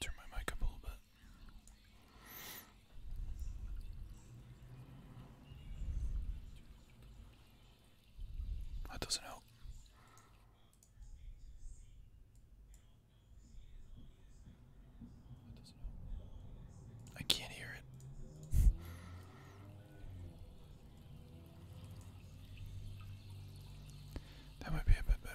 Turn my mic up a little bit. That doesn't help. I can't hear it. that might be a bit better.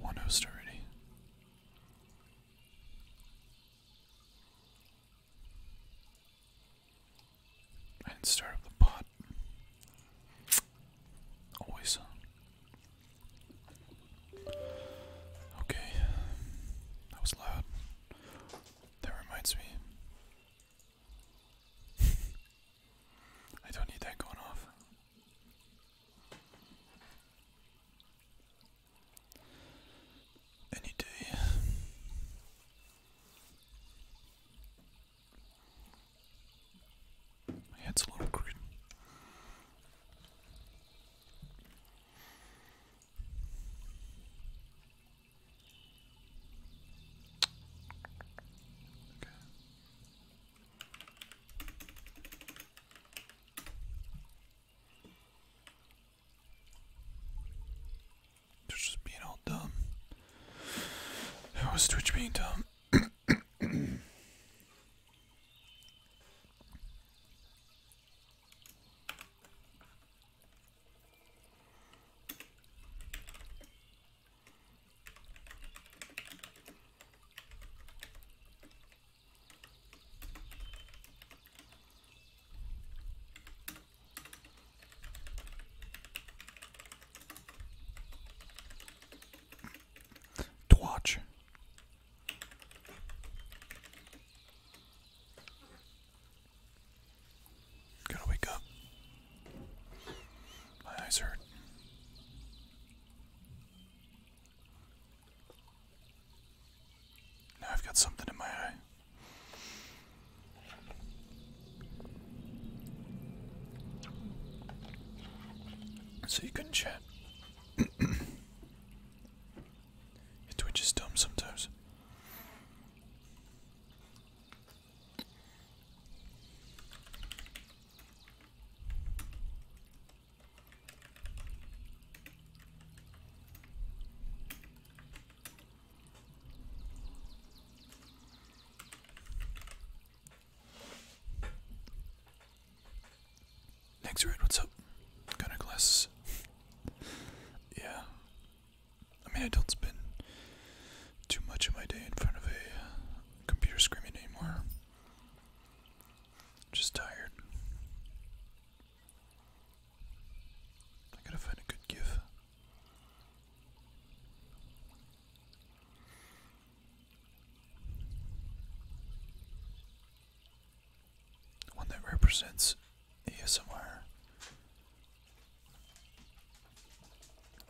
One host already. I didn't start up the pot. Always. Okay. That was loud. That reminds me. I don't need that going off. Any day. My head's a little green. Twitch just being all dumb. was Twitch being dumb? to watch. Gotta wake up. My eyes hurt. Now I've got something in my eye. So you couldn't chat. Your Twitch dumb sometimes. Next red, what's up? Gunner glasses. yeah. I mean, I don't spend too much of my day in front of a computer screen anymore just tired. I gotta find a good gif. One that represents ASMR.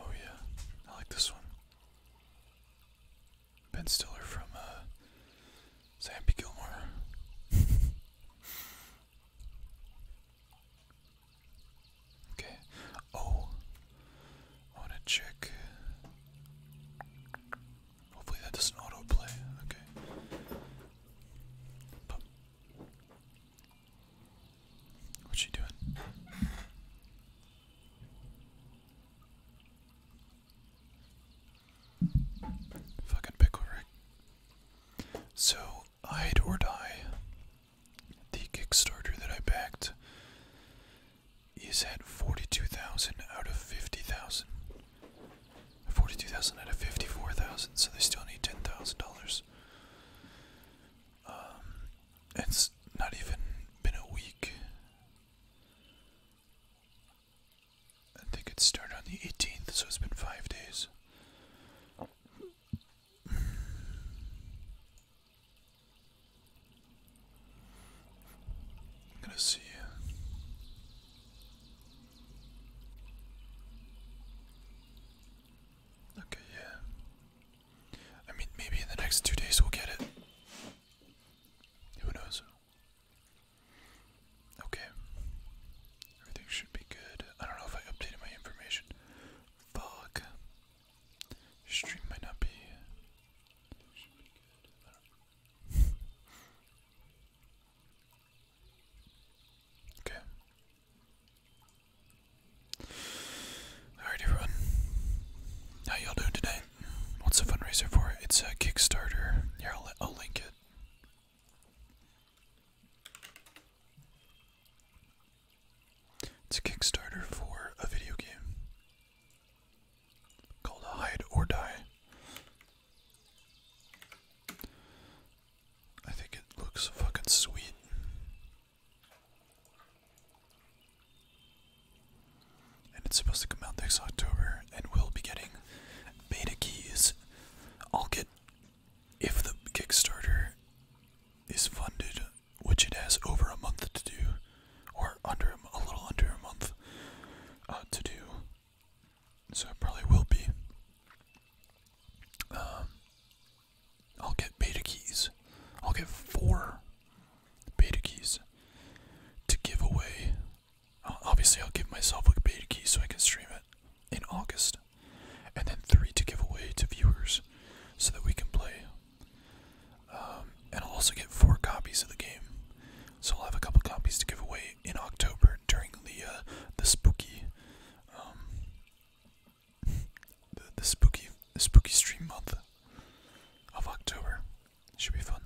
Oh, yeah, I like this one. Ben Stiller from uh, Zampy Gilmore. okay. Oh, I want to check. Hopefully that doesn't autoplay. Okay. What's she doing? Fucking pickle rig. So, Hide or Die, the Kickstarter that I backed, is at 42,000 out of 50,000. 42,000 out of 54,000, so they still need $10,000. Um, it's not even been a week I think it started on the 18th, so it's been five days. I'm gonna see Okay, yeah. I mean, maybe in the next two days we'll get it. Who knows? Okay. Everything should be good. I don't know if I updated my information. Fuck. Stream might not be. okay. Alright, everyone. How y'all doing today? What's the fundraiser for? It's a Kickstarter. Here, I'll, link it. It's a Kickstarter for a video game called Hide or Die. I think it looks fucking sweet. And it's supposed to come out next October, and we'll be getting beta keys. I'll get, if the Kickstarter is funded, which it has over a month to do, or under a little under a month uh, to do, so it probably will be. Um, I'll get beta keys. I'll get four beta keys to give away. Uh, obviously, I'll give myself a beta key so I can stream it in August, and then three to give away to viewers so that we can play. Um, and I'll also get four copies of the game, so I'll have a couple copies to give away in October during the uh, the spooky um, the, the spooky the spooky stream month of October. Should be fun.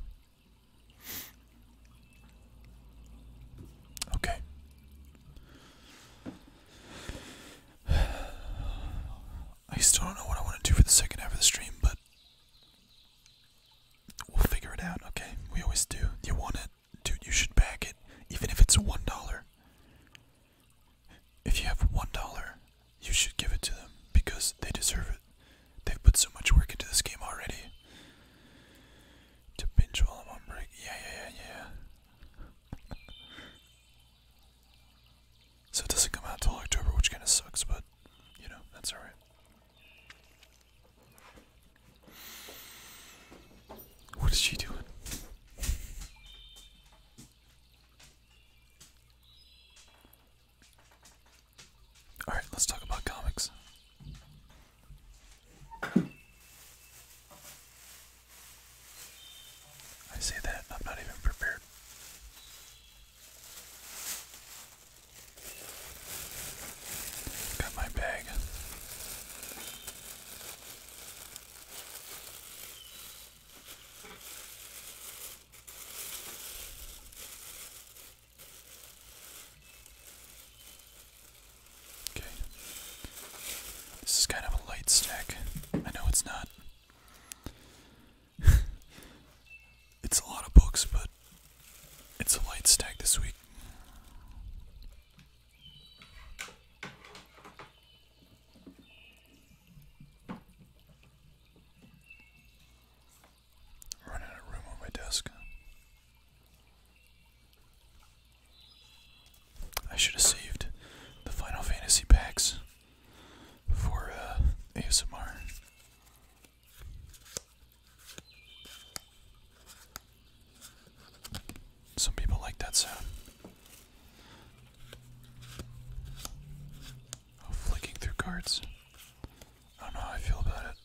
Okay. I still don't know what I want to do for the second half of the stream, but we'll figure it out, okay? We always do. You want it? Dude, you should back it, even if it's $1. If you have $1 you should give it to them because they deserve it. They've put so much work into this game already. To binge while I'm on break. Yeah, yeah, yeah, yeah. so it doesn't come out till October, which kind of sucks, but you know, that's alright. What is she doing? Alright, let's talk about comics. I say that, I'm not even prepared. Got my bag. Okay. This is kind of a light stack. I know it's not. it's a lot of books, but it's a light stack this week. Run out room on my desk. I should have saved the Final Fantasy packs for uh, ASMR. Some people like that sound. flicking through cards. I don't know how I feel about it.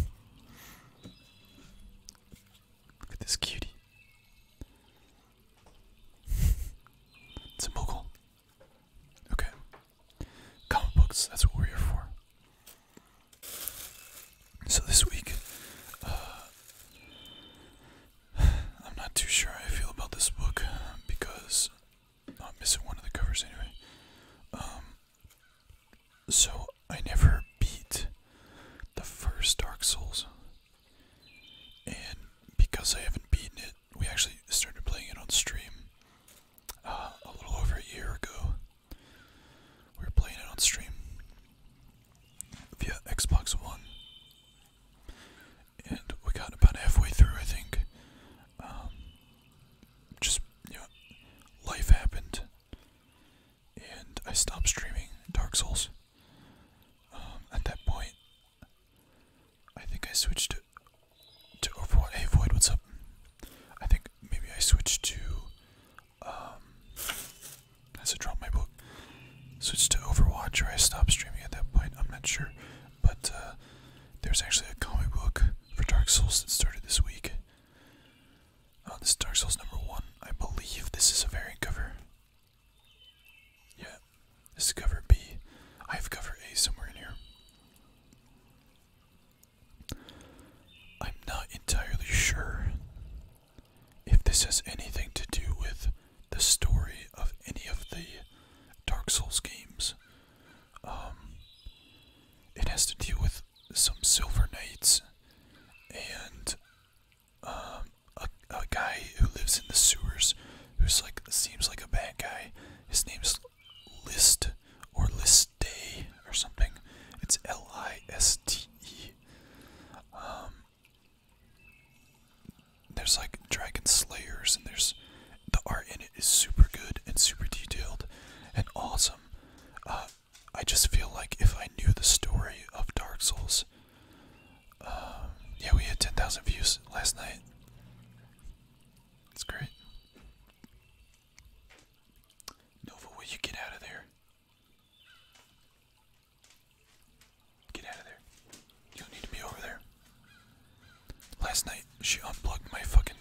Look at this cutie. it's a mogul. Okay. Comic books, that's what we're here for. So this week, uh, I'm not too sure how I feel about this book because I'm missing one of the covers anyway. Um, so I never beat the first Dark Souls, and because I haven't beaten it, we actually started playing it on stream uh, a little over a year ago. We were playing it on stream, via Xbox One. And we got about halfway through, I think. Um, just, you life happened. And I stopped streaming Dark Souls. Um, at that point, I think I switched to, to Overwatch. Hey, Void, what's up? I think maybe I switched to um, as I dropped my book, switched to Overwatch, or I stopped streaming at that point. I'm not sure, but uh, there's actually a comic book for Dark Souls that started this week. Uh, this is Dark Souls number one. I believe this is a variant cover. Yeah, this is cover B. I have cover A somewhere in here. I'm not entirely sure if this has anything to do with the story of any of the Dark Souls games, um, it has to do with some Silver Knights and um, a, a guy who lives in the sewers who's like seems like a bad guy. His name's List or List Day or something. It's L I S T E. Um, there's like dragon slayers, and there's the art in it is super good and super detailed and awesome. Uh, I just feel like if I knew the story of Dark Souls, uh, yeah, we had 10,000 views last night. It's great. Nova, will you get out of there? Get out of there. You don't need to be over there. Last night, she unplugged my fucking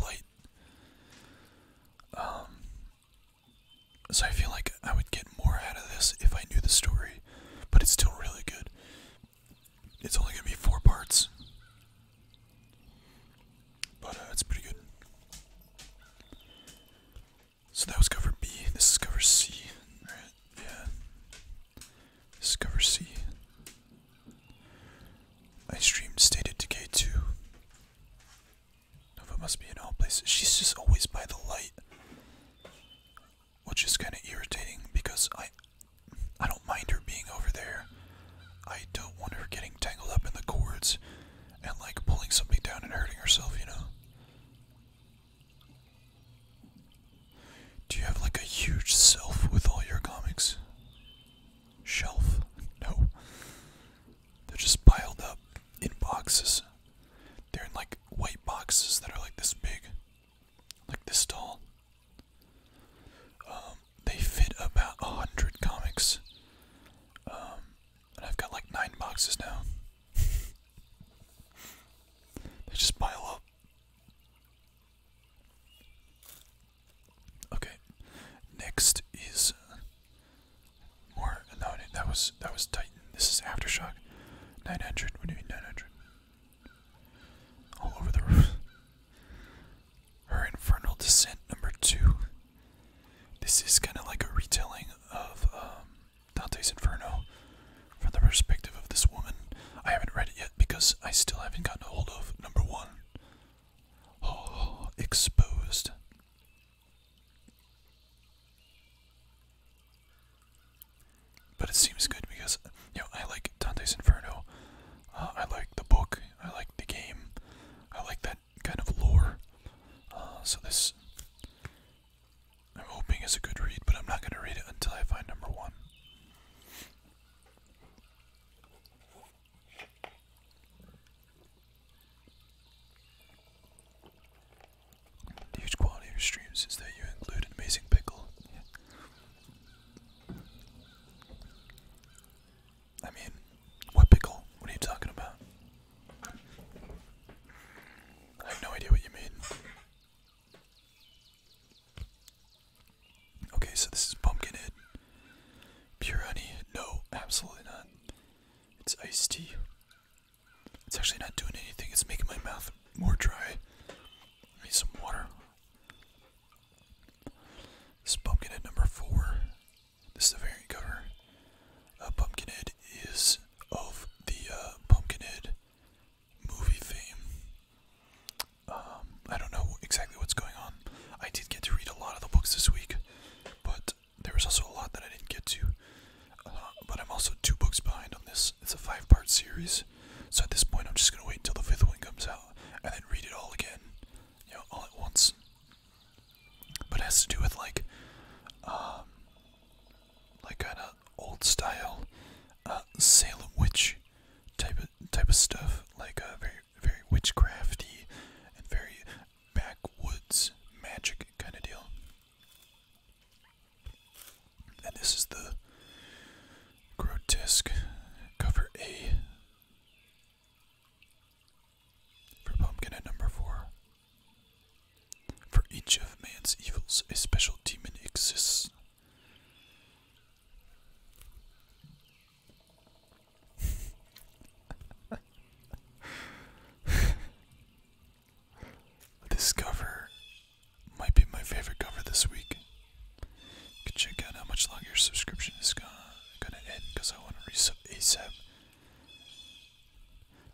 light. Um, so I feel like I would get more out of this if I knew the story, but it's still really good. It's only gonna be four parts, but uh, it's pretty good. So that was cover B. This is cover C. yeah. This is cover C. I streamed Stated Decay 2. Nova must be in all places. She's just always by the light. Which is kind of irritating because I I don't mind her being over there. I don't want her getting tangled up in the cords and like pulling something down and hurting herself, you know? Do you have like a huge shelf with all your comics? Shelf? No. They're just piled up in boxes. They're in like white boxes that are like this big, like this tall. Um, they fit about a hundred comics. Um, and I've got like nine boxes now they just pile up. Okay, next is more. No, that was that was Titan. This is aftershock. Nine hundred. What do you mean nine hundred? All over the roof. Her infernal descent number two. This is kind of like a retelling of um, Dante's Inferno from the perspective of this woman. I haven't read it yet because I still haven't gotten a hold of number one. Oh, exposed. But it seems good because you know I like Dante's Inferno. Uh, I like the book. I like the game. I like that kind of lore. Uh, so this I'm hoping it's a good read, but I'm not going to read it until I find number one. The huge quality of your streams is that you include an amazing pickle. I mean, what pickle? What are you talking about? I have no idea what you mean. Okay, so this is Pumpkinhead. Pure honey? No, absolutely not. It's iced tea. It's actually not doing anything, it's making my mouth more dry. I need some water. This Pumpkinhead number four. This is the variant cover uh, Pumpkinhead is of the uh, Pumpkinhead movie fame. Um, I don't know exactly what's going on. I did get to read a lot of the books this week, but there was also a lot that I didn't get to. Uh, but I'm also two books behind on this. It's a five part series, so at this point, I'm just gonna wait until the fifth one comes out and then read it all again, you know, all at once. But it has to do with like, um, like kind of old style uh, Salem witch type of type of stuff, like uh, very very witchcrafty and very backwoods magic kind of deal. And this is the grotesque cover A for pumpkin at number four. For each of man's evils, a special demon exists. this cover might be my favorite cover this week. can check out how much longer your subscription is gonna, gonna end because I want to resub ASAP.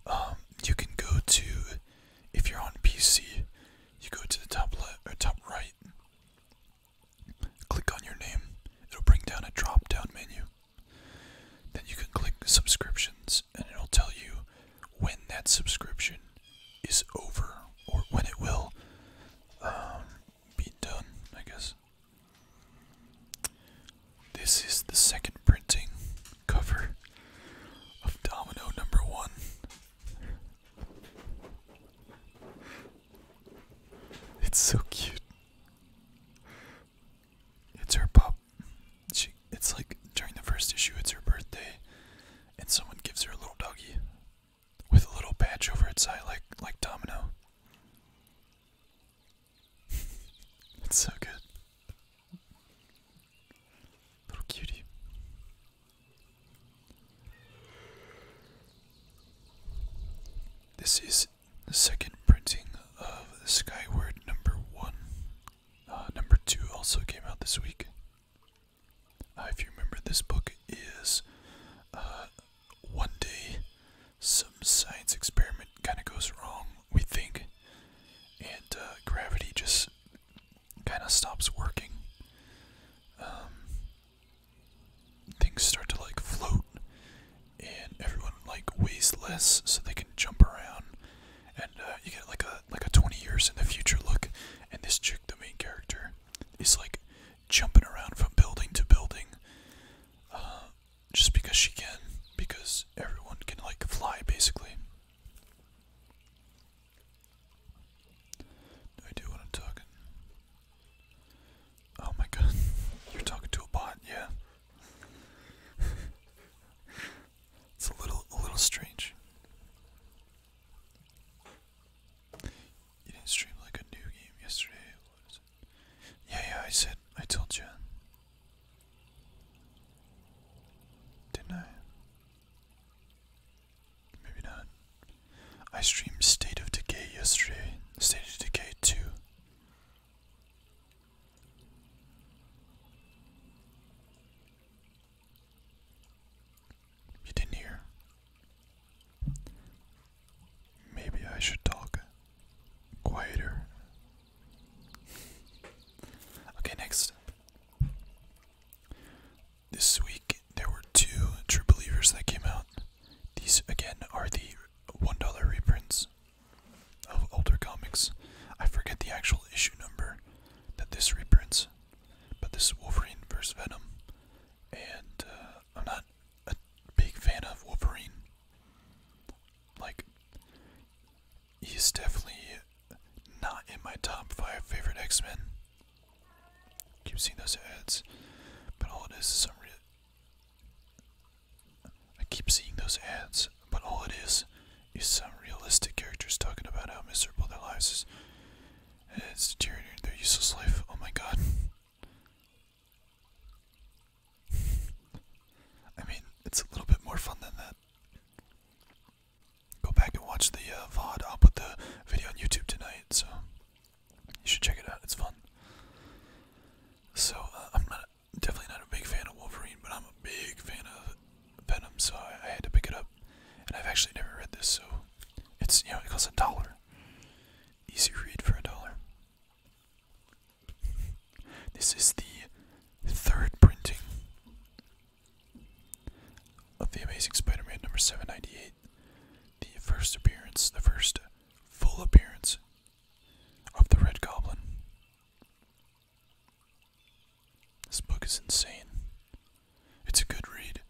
Um, you can go to, if you're on PC, you go to the top left or top right. Click on your name. It'll bring down a drop-down menu. Then you can click subscriptions, and it'll tell you when that subscription is over or when it will um, be done. I guess. This is the second printing cover of Domino number one. It's so cute. It's her pop. She, it's like during the first issue, it's her birthday, and someone gives her a little doggie with a little patch over its eye, like like Domino. it's so good. Little cutie. This is the second printing of Skyward number one. Uh, number two also came out this week. Uh, if you remember, this book is uh, one day some science experiment kind of goes wrong we think, and uh, gravity just kind of stops working. Um, things start to like float, and everyone like weighs less, so they can jump around, and uh, you get like a like a twenty years in the future look. And this chick, the main character, is like jumping around from building to building, uh, just because she can, because everyone can like fly basically. No idea what I'm Oh my god, you're talking to a bot, yeah. it's a little a little strange. You didn't stream like a new game yesterday. What is it? Yeah, yeah, I said I told you. Didn't I? Maybe not. I streamed State of Decay yesterday. State of Decay 2. You didn't hear? Maybe I should talk quieter. okay, next. This week there were two True Believers that came out. These again are the $1 reprints of older comics. I forget the actual issue number that this reprints, but this Wolverine vs. Venom. And uh, I'm not a big fan of Wolverine. Like, he's definitely not in my top five favorite X-Men. Keep seeing those ads, but all it is is some. I keep seeing those ads, but all it is is some realistic characters talking about how miserable their lives is. And it's deteriorating their useless life. Oh my god. I mean, it's a little bit more fun than that. Go back and watch the uh, VOD. I'll put the video on YouTube tonight, so you should check it out. It's fun. So uh, I'm not definitely not a big fan of Wolverine, but I'm a big fan of Venom, so I had to pick it up. And I've actually never read this, so it's you know it costs a dollar. Easy read for a dollar. This is the third printing of The Amazing Spider Man number 798, the first appearance, the first full appearance of the Red Goblin. This book is insane. It's a good read,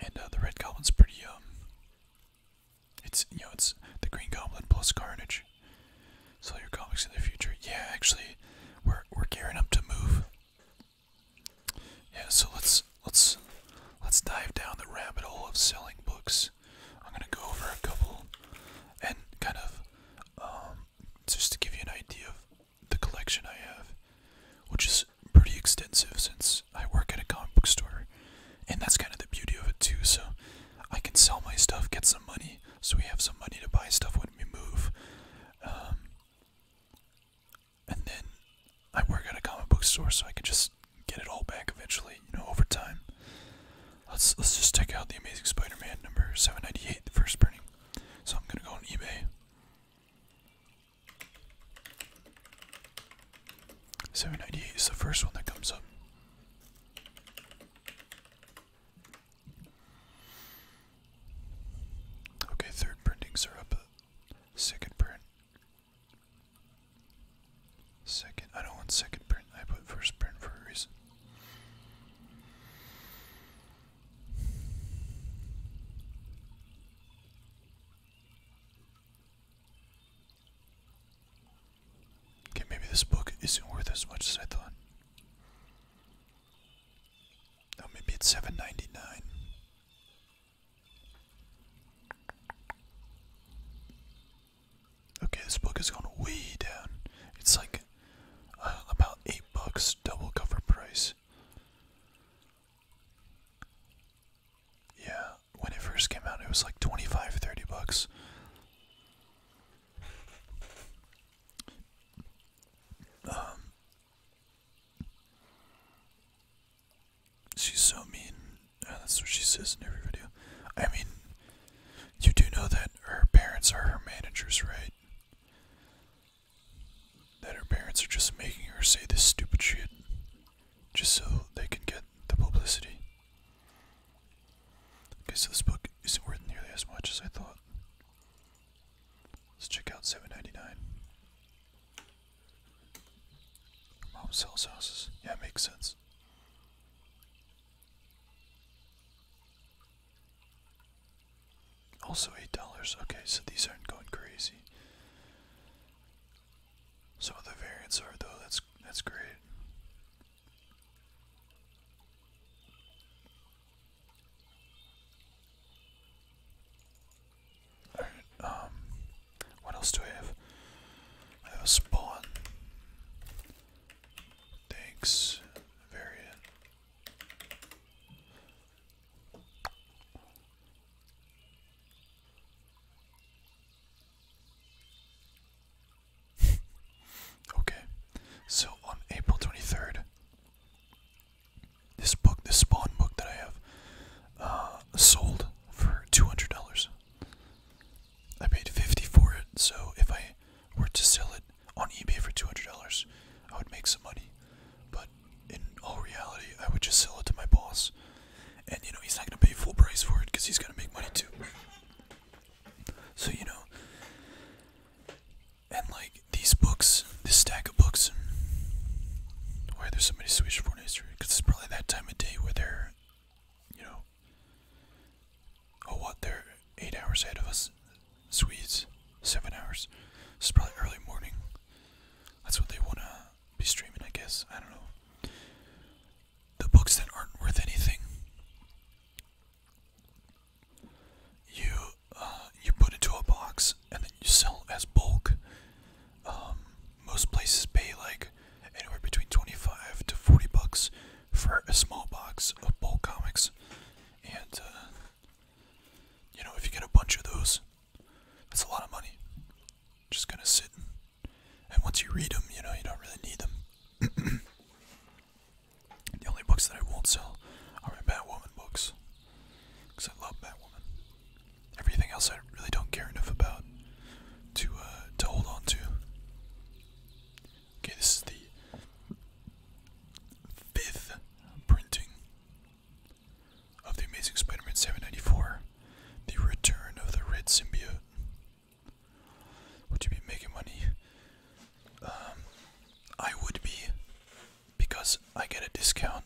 and uh, the Red Goblin's pretty um, It's you know it's the Green Goblin plus Carnage. So your comics in the future, yeah. Actually, we're we're gearing up to move yeah, so let's let's let's dive down the rabbit hole of selling books. I'm gonna go over a couple and kind of um, just to give you an idea of the collection I have, which is pretty extensive since I work at a comic book store, and that's kind of the beauty of it too. So I can sell my stuff, get some money, so we have some money to buy stuff when we move. Um, and then I work at a comic book store so I can just get it all back eventually, you know, over time. Let's let's just check out the Amazing Spider-Man number 798, the first printing. So I'm gonna go on eBay. 798 is the first one that comes up. Okay, third printings are up. Uh, second print. Second. I don't want second print. I put first print for a reason. Okay, maybe this book isn't worth as much as I thought. Oh, maybe it's seven ninety nine. Okay, this book has gone way down. It's like uh, about eight bucks, double cover price. Yeah, when it first came out, it was like 25, 30 bucks. Um, She's so mean. Uh, that's what she says in every video. I mean, you do know that her parents are her managers, right? That her parents are just making her say this stupid shit just so they can get the publicity. Okay, so this book isn't worth nearly as much as I thought. Let's check out 799. Mom sells houses. Yeah, makes sense. Also eight dollars. Okay, so these aren't going crazy. Some of the variants are though, that's that's great. Alright, um, what else do I have? I have spawn. Thanks, variant. okay, so on April 23rd, this book, this Spawn book that I have, uh, sold for two hundred dollars. I paid fifty for it, so if I were to sell it on eBay for two hundred dollars, I would make some money. But in all reality, I would just sell it to my boss, and you know he's not gonna pay full price for it because he's gonna make money too. So you know, and like these books, this stack of books. Why are there so many Swedish foreign history? Because it's probably that time of day where they're, you know, oh what, they're eight hours ahead of us. Swedes, seven hours. It's probably early morning. That's what they wanna be streaming, I guess. I don't know. The books that aren't worth anything you uh, you put into a box and then you sell as bulk. Um, most places pay like anywhere between 25 to 40 bucks for a small box of bulk comics, and uh, you know if you get a bunch of those, that's a lot of money. Just gonna sit, and, and once you read them, you know you don't really need them. the only books that I won't sell are my Batwoman books. Because I love Woman. Everything else I really don't care enough about to uh, to hold on to. Okay, this is the fifth printing of the Amazing Spider-Man 794, the return of the red symbiote. Would you be making money? Um, I would be because I get a discount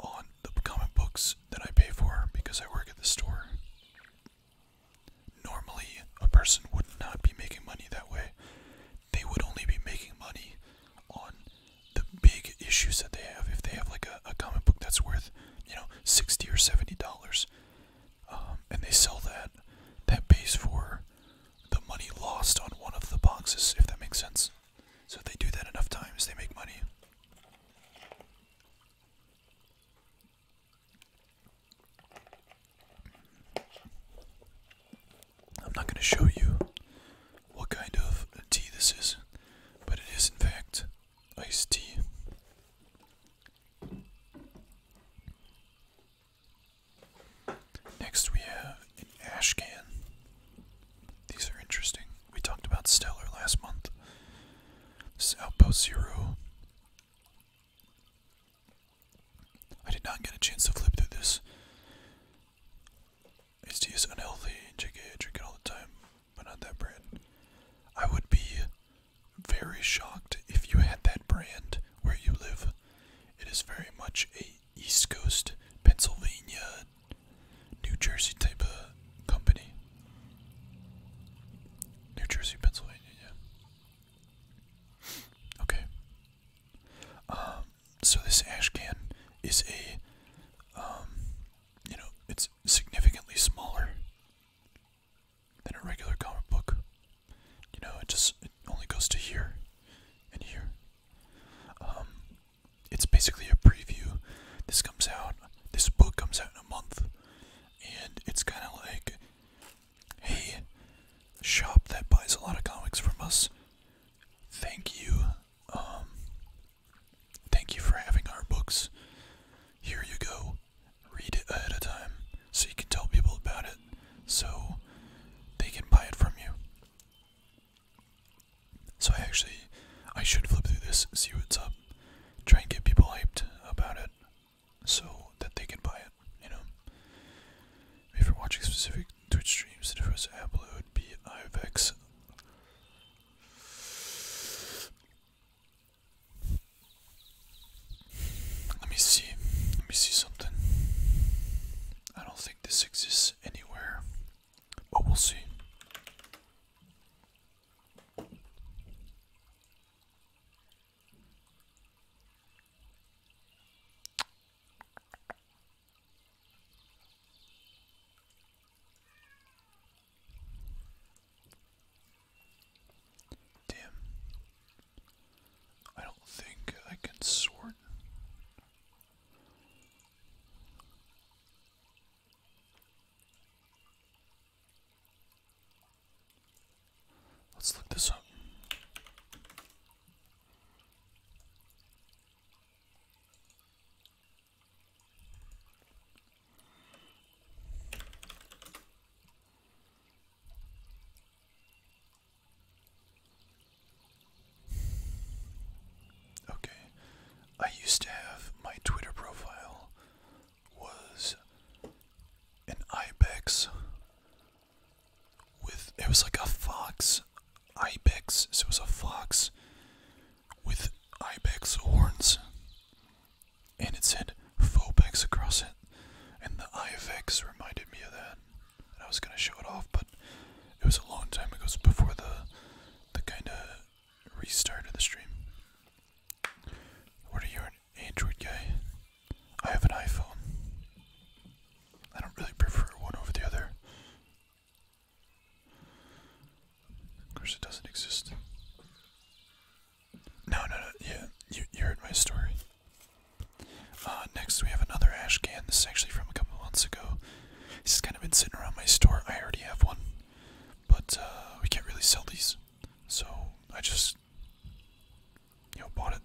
on the comic books that I pay for because I work at the store. Normally, a person would not be making money that way. They would only be making money on the big issues that they have. If they have like a, a comic book that's worth, you know, sixty or seventy dollars, um, and they sell that, that pays for the money lost on one of the boxes, if that makes sense. So they do that enough times, they make money. I'm not going to show you what kind of tea this is, but it is, in fact, iced tea. Next, we have an ashcan. These are interesting. We talked about Stellar last month. This is Outpost Zero. I did not get a chance to flip through this. HD is unhealthy. JK, I drink it all the time, but not that brand. I would be very shocked if you had that brand where you live. It is very much a East Coast, Pennsylvania, New Jersey type of company. New Jersey, Pennsylvania, yeah. Okay. Um, so this ash can is a, um, you know, it's significantly smaller than a regular comic book. You know, it just it only goes to here and here um, it's basically a preview. This comes out, this book comes out in a month, and it's kind of like, hey, shop that buys a lot of comics from us, thank you. Um, thank you for having our books. Here you go. Read it ahead of time so you can tell people about it so they can buy it from you. So I actually, I should flip through this, see what's up, try and get people hyped about it, so that they can buy it. You know. If you're watching specific Twitch streams, the first upload would be IFX. Let me see. Let me see something. I don't think this exists anywhere, but we'll see. Damn. I don't think I can sort Let's look this up. Okay. I used to have my Twitter profile was an ibex with it was like a fox ibex so it was a fox with ibex horns and it said phobex across it and the ibex reminded me of that I was gonna show it off, but it was a long time ago. before the the kind of restart of the stream. What are you, an Android guy? I have an iPhone. I don't really prefer one over the other. Of course, it doesn't exist. No, no, no. Yeah, you, you heard my story. Uh, next, we have another ash can. This is actually from a couple months ago. This has kind of been sitting around my store. I already have one, but uh, we can't really sell these, so I just you know bought it.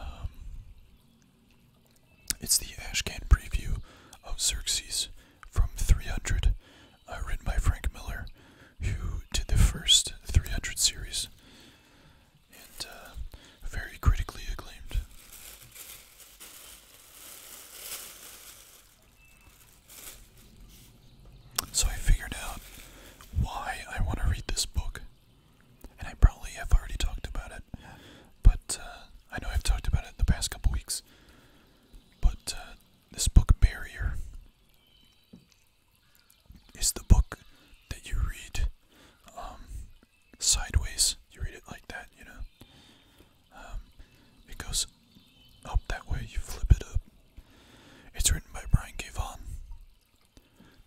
Um, it's the Ashcan preview of Xerxes from 300, uh, written by Frank Miller, who did the first 300 series and uh, very critically acclaimed. So I figured out why I want to read this book, and I probably have already talked about it, but uh, I know I've talked about it the past couple weeks. But uh, this book, Barrier, is the book that you read um, sideways. You read it like that, you know. Um, it goes up that way. You flip it up. It's written by Brian K.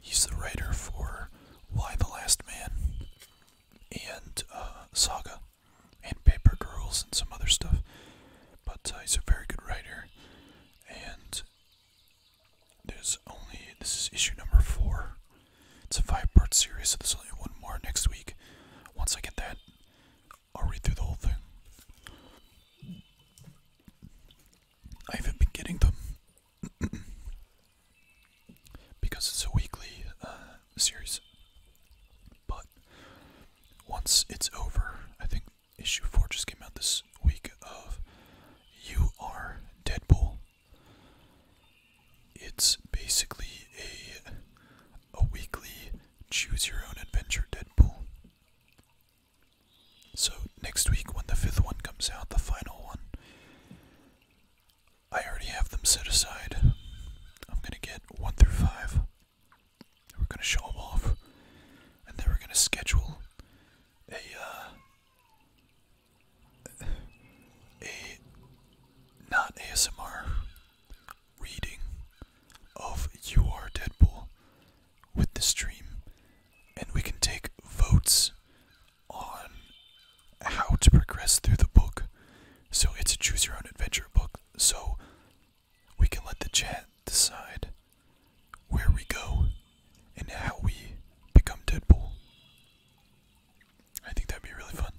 He's the writer for Why the Last Man and uh, Saga and Paper Girls and some other stuff. But uh, he's a very good writer. And there's only, this is issue number four. It's a five part series, so there's only one more next week. Once I get that, I'll read through the whole thing. I haven't been getting them because it's a weekly uh, series. But once it's over, I think issue 4 just came out this week of You Are Deadpool it's basically a a weekly choose your own adventure Deadpool. So next week when the fifth one comes out, the final one, I already have them set aside. I'm gonna get one through five. We're gonna show them off, and then we're gonna schedule a uh, a not ASMR reading of You Are Deadpool with the stream, and we can take votes on how to progress through the book. So it's a choose your own adventure book, so we can let the chat decide where we go and how we become Deadpool. I think that'd be really fun.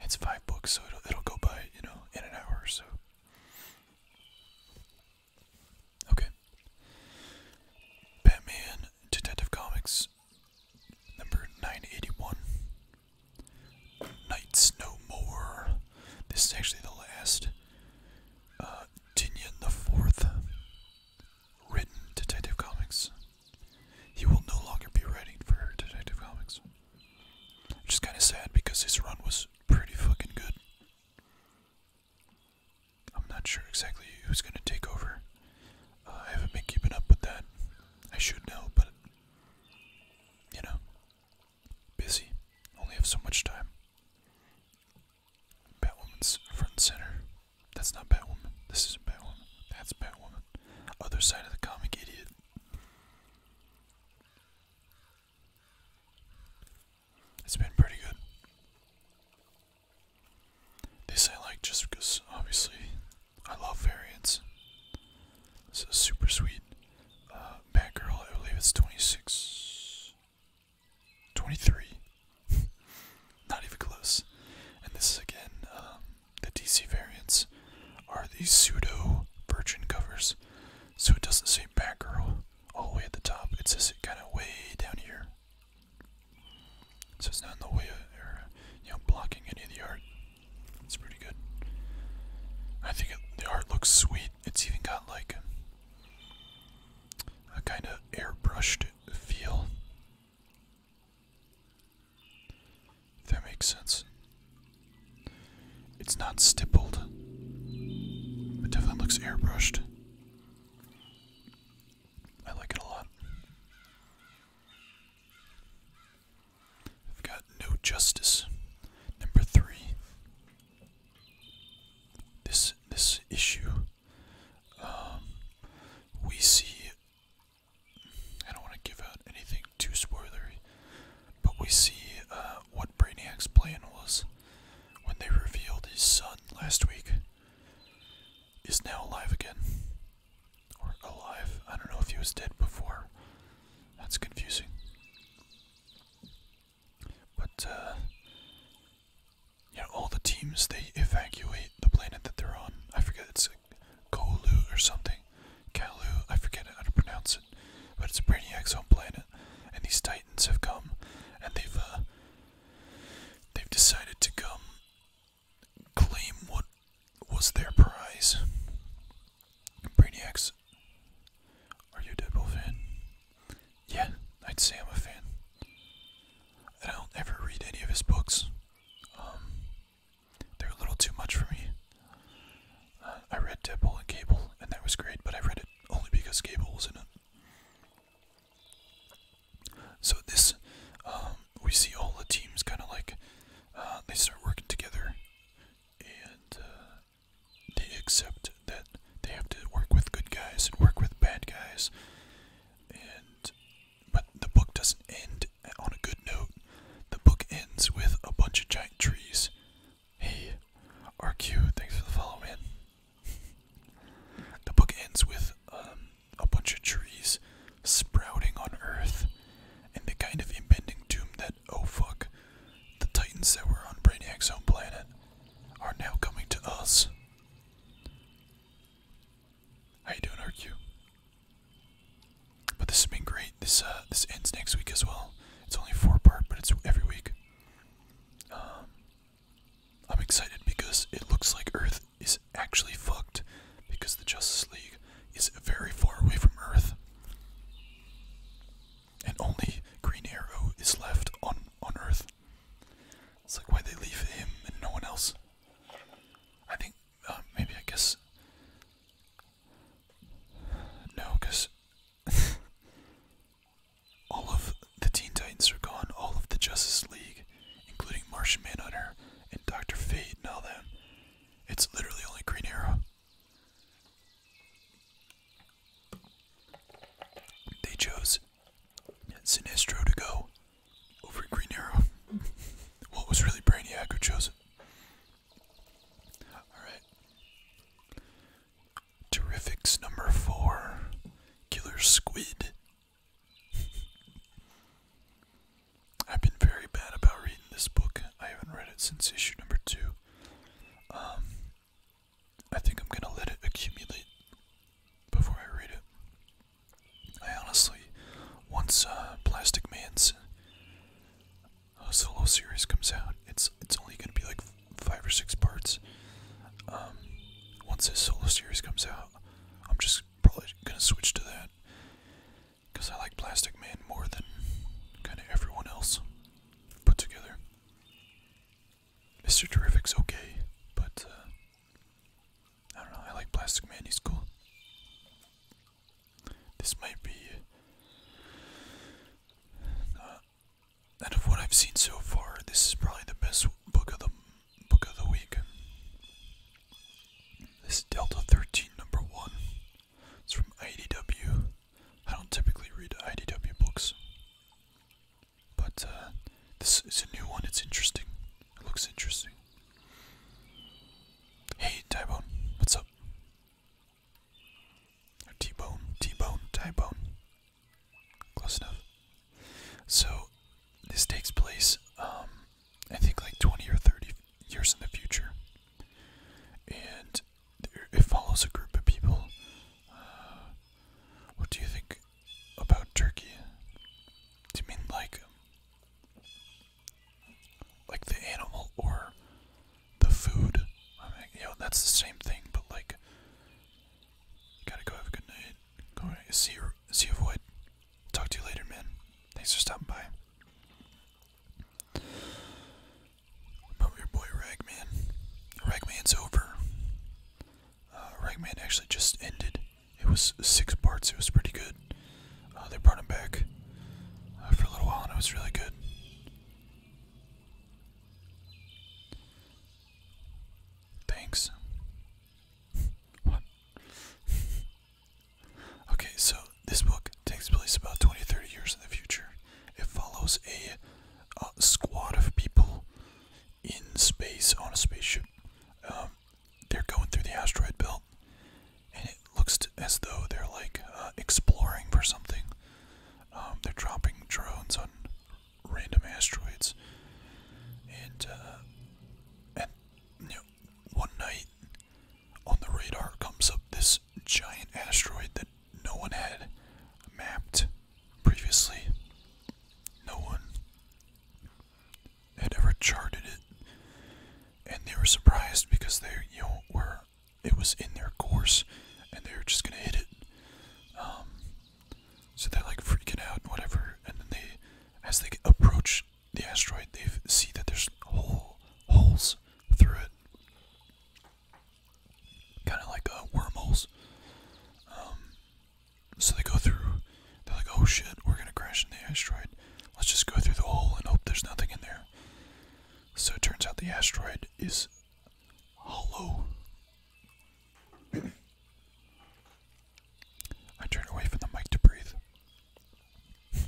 It's five books, so it'll it'll go by you know in an hour or so. Okay. Batman Detective Comics number nine eighty one. Nights no more. This is actually the last. Uh, the Fourth written Detective Comics. He will no longer be writing for Detective Comics. Which is kind of sad because his run was pretty fucking good. I'm not sure exactly who's going to take over. Uh, I haven't been keeping up with that. I should know, but you know, busy. Only have so much time. Batwoman's front and center. That's not Batwoman. This is Batwoman. That's Batwoman. Other side of the comic, idiot. It's been pretty good. This I like just because, obviously, I love variants. This is super sweet. Uh, Batgirl, I believe it's 26. 23. Not even close. And this is again, um, the DC variants are these pseudo virgin covers. So it doesn't say Batgirl all the way at the top, it says it kind of way down here. So it's not in the way of, you know, blocking any of the art. It's pretty good. I think the art looks sweet. It's even got like a kind of airbrushed feel that makes sense. It's not stippled. It definitely looks airbrushed. I like it a lot. I've got no justice. Number three. This this issue. Um, we see I don't want to give out anything too spoilery, but we see uh, what Brainiac's plan was when they revealed his son last week is now alive again. Or alive. I don't know if he was dead before. That's confusing. But, uh, yeah, all the teams they evacuate the planet that they're on. I forget it's like Kolu or something. Kalu, I forget how to pronounce it, but it's Brainiac's home planet, and these Titans have come, and they've uh, they've decided to come claim what was their prize. Brainiac's. Are you a Deadpool fan? Yeah, I'd say I'm a fan. I don't ever read any of his books. Um, they're a little too much for me. Uh, I read Deadpool and Cable, and that was great, but I read it only because Cable in it. So this, um, we see all the teams kind of like uh, they start working together, and uh, they accept that they have to work with good guys and work with bad guys, and but the book doesn't end on a good note. The book ends with a bunch of giant trees. Hey, RQ, thanks for the follow, the book ends with um, a bunch of trees sprouting on Earth and the kind of impending doom that, oh fuck, the Titans that were on Brainiac's home planet are now coming to us. How you doing, RQ? But this has been great. This uh, this ends next week as well. It's only four part, but it's every week. Um, I'm excited because it looks like Earth is actually fucked because the Justice League is very far away from Earth. And only Green Arrow is left on on Earth. It's like why they leave him and no one else. I think uh, maybe I guess. No, because all of the Teen Titans are gone, all of the Justice League, including Martian Manhunter and Doctor Fate and all them. It's literally only Green Arrow. They chose Sinestro to go over Green Arrow. well, was really Brainiac who chose it. Alright. Terrifics number four Killer Squid. I've been very bad about reading this book. I haven't read it since issue number two. Um, I think I'm gonna let it accumulate before I read it. I honestly, once uh, Plastic Man's uh, solo series comes out, it's it's only gonna be like five or six parts. Um, once his solo series comes out, I'm just probably gonna switch to that because I like Plastic Man more than kind of everyone else put together. Mr. Terrific's okay, but uh, I don't know, I like Plastic Man, he's cool. This might be. Uh, out of what I've seen so far, this is probably the best book of the book of the week. This is Delta 13 number 1. It's from IDW. I don't typically read IDW books. But uh, this is a new one. It's interesting. It looks interesting. Hey, Tybone, what's up? T-bone, T-bone, T-bone. Close enough. So, this takes place, um, I think like 20 or 30 years in the future. And there, it follows a group of people. Uh, what do you think about Turkey? Do you mean like like the animal or the food. I mean, you that's the same thing, but like, you gotta go have a good night. see you, see you, Void. Talk to you later, man. Thanks for stopping by. About your boy Ragman. Ragman's over. Uh, Ragman actually just ended. It was six parts. It was pretty good. Uh, they brought him back uh, for a little while, and it was really good. Thanks. what? okay, so this book takes place about 20 years in the future. It follows a uh, squad of people in space on a spaceship. Um, they're going through the asteroid belt, and it looks to, as though they're like uh, exploring for something. Um, they're dropping drones on random asteroids, and uh, and you know, one night on the radar comes up this giant asteroid that no one had mapped previously. No one had ever charted it, and they were surprised because they, you know, were it was in their course, and they were just gonna hit it. Um, so they're like freaking out and whatever, and then they, as they approach the asteroid, they see that there's hole holes through it, kind of like uh, wormholes. Um, so they go through they're like, oh shit, we're gonna crash in the asteroid. Let's just go through the hole and hope there's nothing in there. So it turns out the asteroid is hollow. I turn away from the mic to breathe. it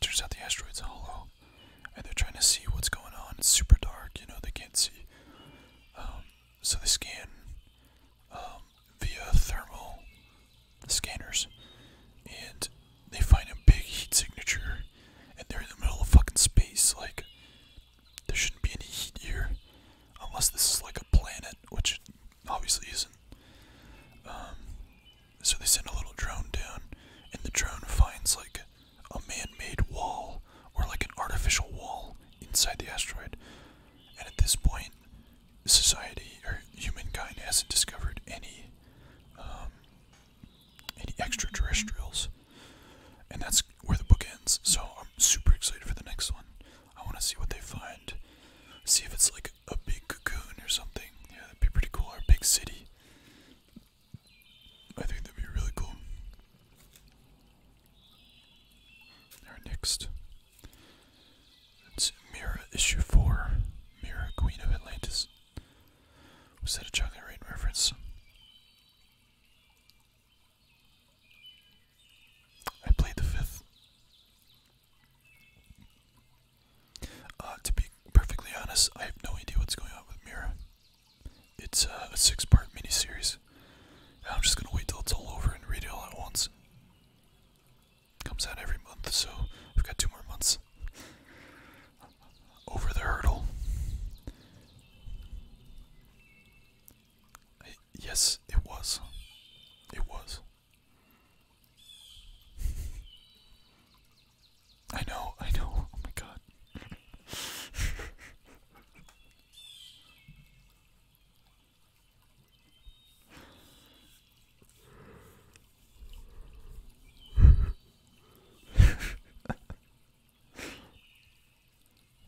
turns out the asteroid's hollow, and they're trying to see what's going on. It's super dark, you know, they can't see. Um, so they scan um, via thermal scanners, and they find a big heat signature, and they're in the middle of fucking space. Like, there shouldn't be any heat here, unless this is like a planet, which obviously isn't. Um, so they send a little drone down, and the drone finds like a man-made wall or like an artificial wall inside the asteroid. And at this point, society or humankind hasn't discovered any um, any extraterrestrials, and that's where the book ends. So I'm super excited for the next one. I want to see what they find, see if it's like a big cocoon or something. Yeah, that'd be pretty cool. Or a big city. I think that'd be really cool. Our next. It's Mira issue four. Mira, Queen of Atlantis. Was that a chocolate rain reference? I played the fifth. Uh, to be perfectly honest, I have no idea what's going on with Mira. It's uh, a six-part miniseries. I'm just gonna wait till it's all over and read it all at once. Comes out every month, so we have got two more months. Over the hurdle. yes, it was. It was. I know, I know. Oh my god.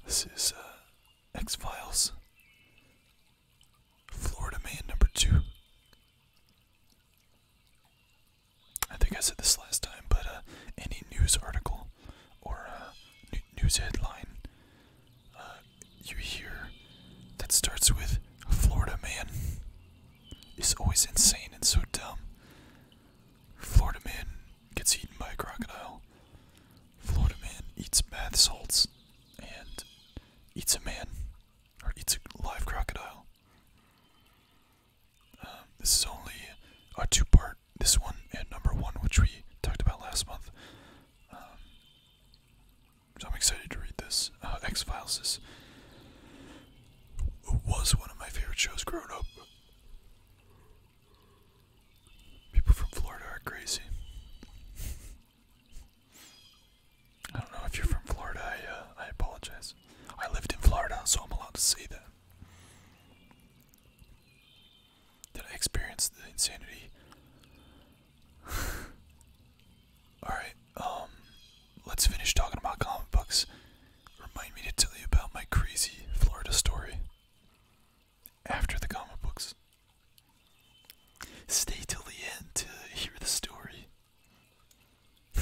this is uh, X Files. Florida Man number two. I think I said this last time, but uh, any news article or uh, news headline you hear that starts with Florida man is always insane and so dumb. Florida man gets eaten by a crocodile. Florida man eats bath salts and eats a man or eats a live crocodile. Um, this is only a two part, this one and number one, which we talked about last month. Um, I'm excited to read this. Uh, X Files is was one of my favorite shows growing up. People from Florida are crazy. I don't know if you're from Florida. I uh, I apologize. I lived in Florida, so I'm allowed to say that. Did I experience the insanity Alright, um, let's finish talking about comic books. Remind me to tell you about my crazy Florida story after the comic books. Stay till the end to hear the story.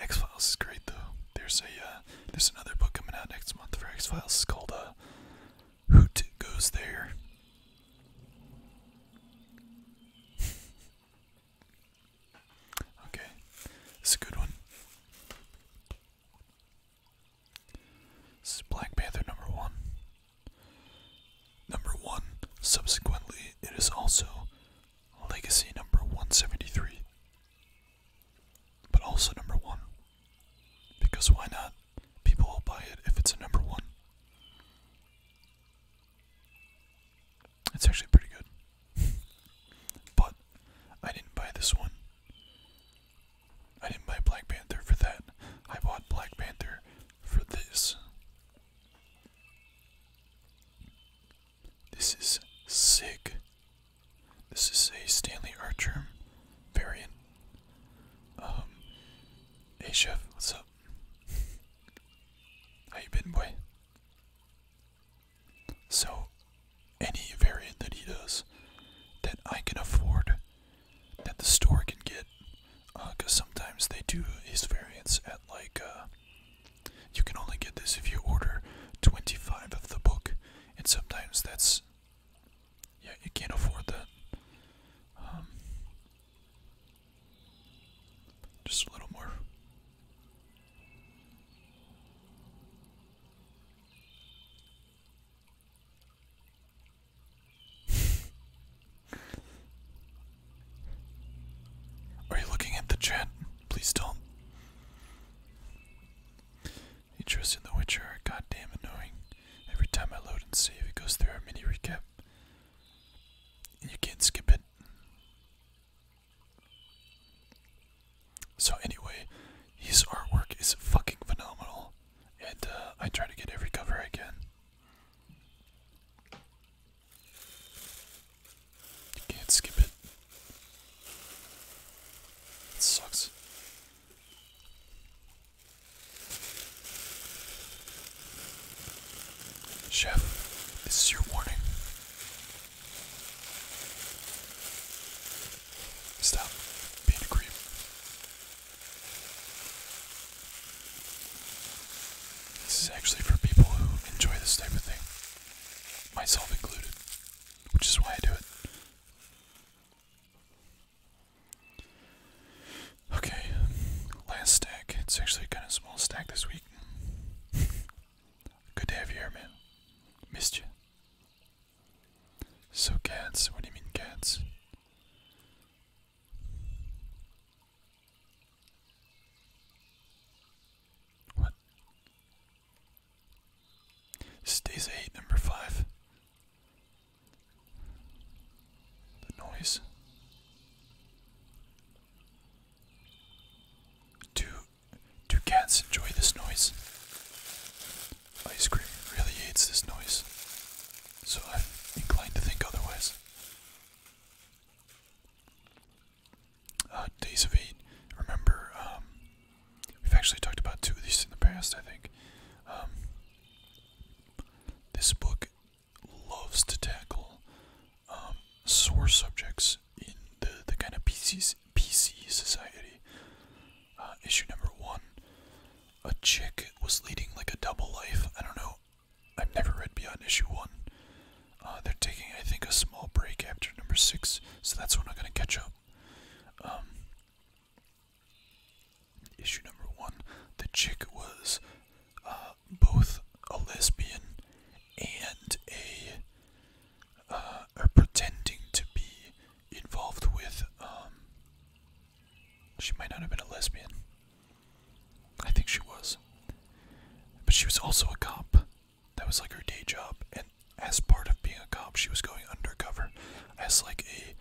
X Files is great though. There's a uh, there's another book coming out next month for X Files. called uh, Hoot goes there. okay, this is a good one. This is Black Panther number one. Number one, subsequently, it is also Legacy number 173. But also number one. Because why not? People will buy it if it's a number one. It's actually pretty good. but I didn't buy this one. I didn't buy Black Panther for that. I bought Black Panther for this. This is sick. This is a Stanley Archer variant. Um, hey chef, what's up? How you been, boy? So, any variant that he does that I can afford, that the store can get, because uh, sometimes they do his variants at like, uh, you can only get this if you order 25 of the book, and sometimes that's, yeah, you can't afford that. Um, just a little more. Are you looking at the chat? Please don't. He in The Witcher are goddamn annoying. Every time I load and save, it goes through our mini recap you can't skip it. So, anyway, his artwork is fucking phenomenal, and uh, I try to get every cover I can. You can't skip It sucks. Chef, this is your warning. Stop being a creep. This is actually for people who enjoy this type of thing, myself included, which is why I do it. Okay, last stack. It's actually kind of small stack this week. Good to have you here, man. Missed you. So, cats, what do you mean, cats? What? This 8, number 5. The noise. Do do cats enjoy this noise? Ice cream really hates this noise, so I'm inclined to think otherwise. Uh, Days of Eight. Remember, um, we've actually talked about two of these in the past. I think um, this book loves to tackle um, sore subjects in the, the kind of PC, PC society. Uh, issue number one a chick was leading like a double life. I don't know. I've never read beyond issue one. Uh, they're taking, I think, a small break after number six, so that's when I'm going to catch up. Um, Issue number one, the chick was uh, both a lesbian and a uh, pretending to be involved with. Um, she might not have been a lesbian. I think she was, but she was also a cop. That was like her day job, and as part of being a cop, she was going undercover as like a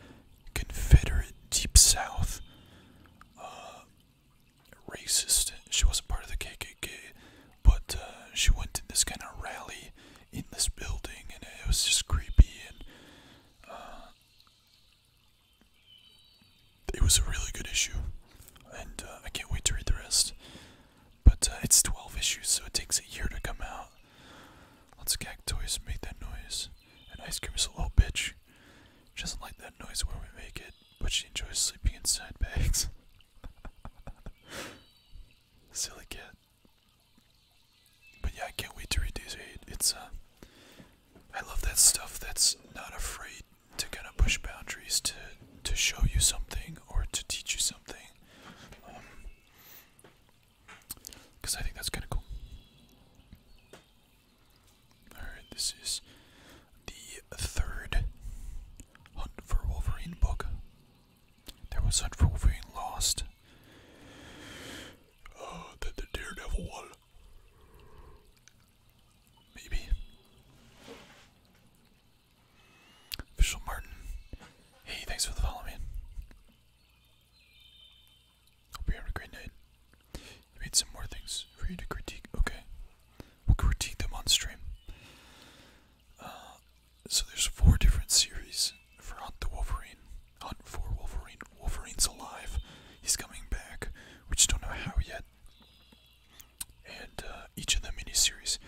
Confederate Deep South uh, racist. She wasn't part of the KKK, but uh, she went to this kind of rally in this building, and it was just creepy. And uh, it was a really good issue, and I can't wait to read the rest. But it's 12 issues, so it takes a year to come out. Let's gag toys, make that noise. And Ice Cream is a little bitch. She doesn't like that noise where we make it, but she enjoys sleeping in sandbags. Silly kid. But yeah, I can't wait to read this. It's uh I love that stuff that's not afraid to kind of push boundaries to to show you something or to teach you something. Um, because I think that's kind of cool. Alright, this is the third Hunt for Wolverine book. There was Hunt for Wolverine Lost. Uh, the, Daredevil one. Maybe. Official Martin. Hey, thanks for the follow, Hope you're having a great night. Read some more things for you to critique. Okay. We'll critique them on stream. Uh, so there's four different series for Hunt the Wolverine. Hunt for Wolverine. Wolverine's alive. He's coming back. We just don't know how yet. And uh, each of the mini series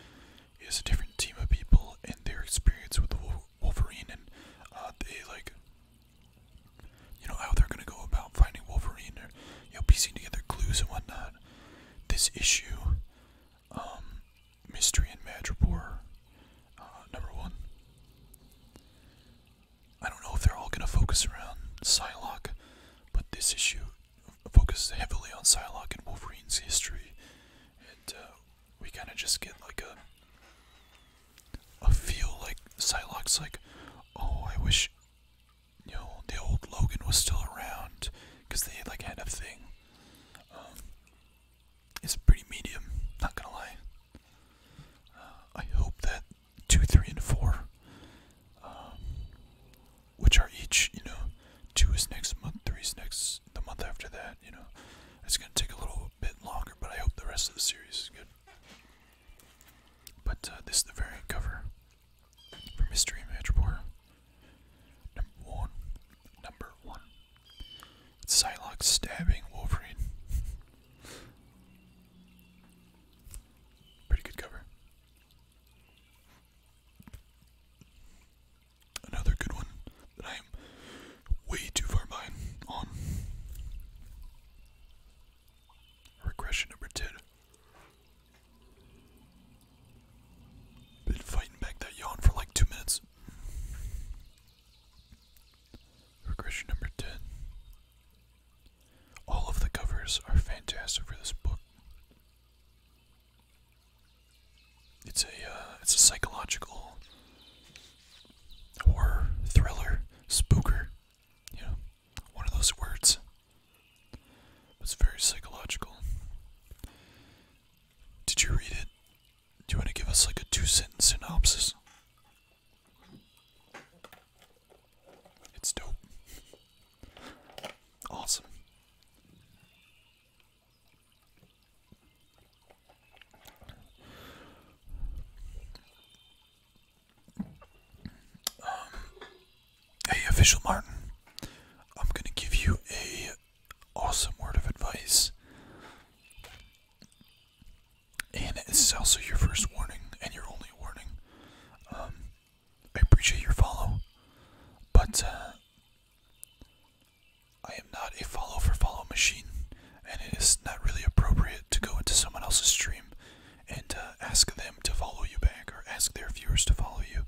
is a different team of people and their experience with Wolverine, and uh, they like you know how they're gonna go about finding Wolverine or you know piecing together clues and whatnot. This issue, um, Mystery and Madripoor, uh, number one. I don't know if they're all gonna focus around Psylocke, but this issue focuses heavily on Psylocke and Wolverine's history, and uh, we kind of just get like a I feel like Psylocke's like, oh, I wish, you know, the old Logan was still around, because they like had a thing. Um, it's pretty medium, not gonna lie. Uh, I hope that two, three, and four, um, which are each, you know, two is next month, three is next the month after that. You know, it's gonna take a little bit longer, but I hope the rest of the series is good. But uh, this is the variant cover for Mystery and Magic War. Number one. Number one. It's Psylocke stabbing Wolverine. Pretty good cover. Another good one that I am way too far behind on. Regression number 10. Been fighting back that yawn for like two minutes. Regression number 10. All of the covers are fantastic for this book. It's a uh, it's a psychological horror thriller spooker, you know one of those words It's very psychological. Did you read it? Do you want to give us like a two sentence synopsis? It's dope. Awesome. Um, hey, official Martin. I'm gonna give you a awesome word of advice, and it's also your first warning and your only warning. Um, I appreciate your follow, but uh, I am not a follow for follow machine, and it is not really appropriate to go into someone else's stream and uh, ask them to follow you back or ask their viewers to follow you.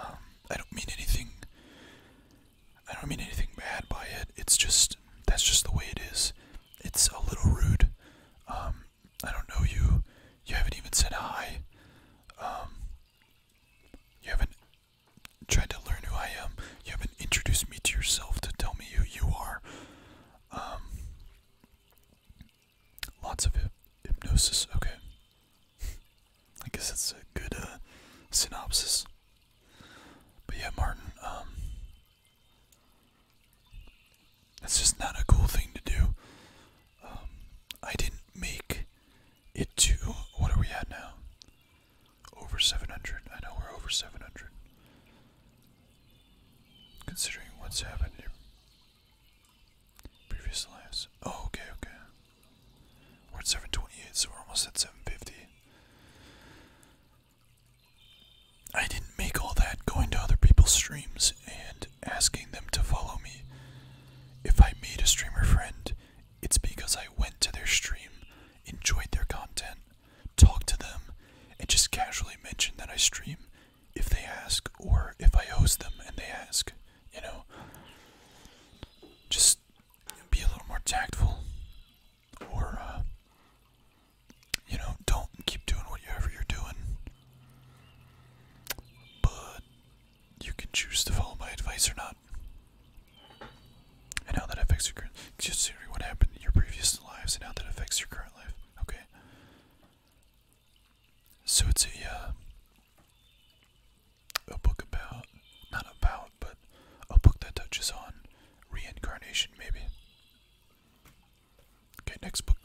Um, I don't mean anything. I don't mean anything bad by it. It's just that's just the way it is. It's a little rude. Um, I don't know you. You haven't even said hi. Um, you haven't tried to learn who I am. You haven't introduced me to yourself to tell me who you are. Lots of hypnosis. Okay. I guess that's a good uh, synopsis. But yeah, Martin, um, that's just not a cool thing to do. Um, I didn't make it to. What are we at now? Over 700. I know we're over 700. Considering what's happened in your Oh, okay, okay. We're at 728, so we're almost at 750. I didn't make all that going to other people's streams and asking them to follow me. If I made a streamer friend, it's because I went to their stream, enjoyed their content, talked to them, and just casually mentioned that I stream if they ask, or if I host them and they ask, you know. Just be a little more tactful, or, uh, you know, don't keep doing whatever you're doing. But you can choose to follow my advice or not. And how that affects your current. Considering what happened in your previous lives and how that affects your current life. Okay. So it's a uh, a book about not about, but a book that touches on reincarnation, maybe. Okay, next book.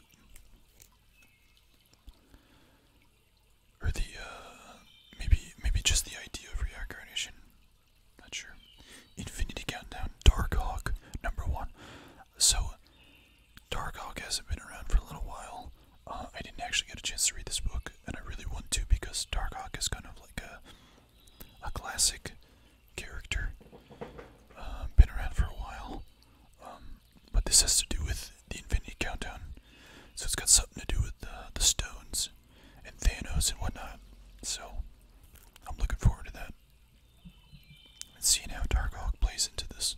Or the uh, maybe maybe just the idea of reincarnation. Not sure. Infinity Countdown, Dark number one. So, Darkhawk hasn't been around for a little while. Uh, I didn't actually get a chance to read this book, and I really want to because Darkhawk is kind of like a, a classic character. Um, been around for a while. Um, but this has to do with the Infinity Countdown. So it's got something to do with uh, the stones and Thanos and whatnot. So I'm looking forward to that. Let's see how Dark Hawk plays into this.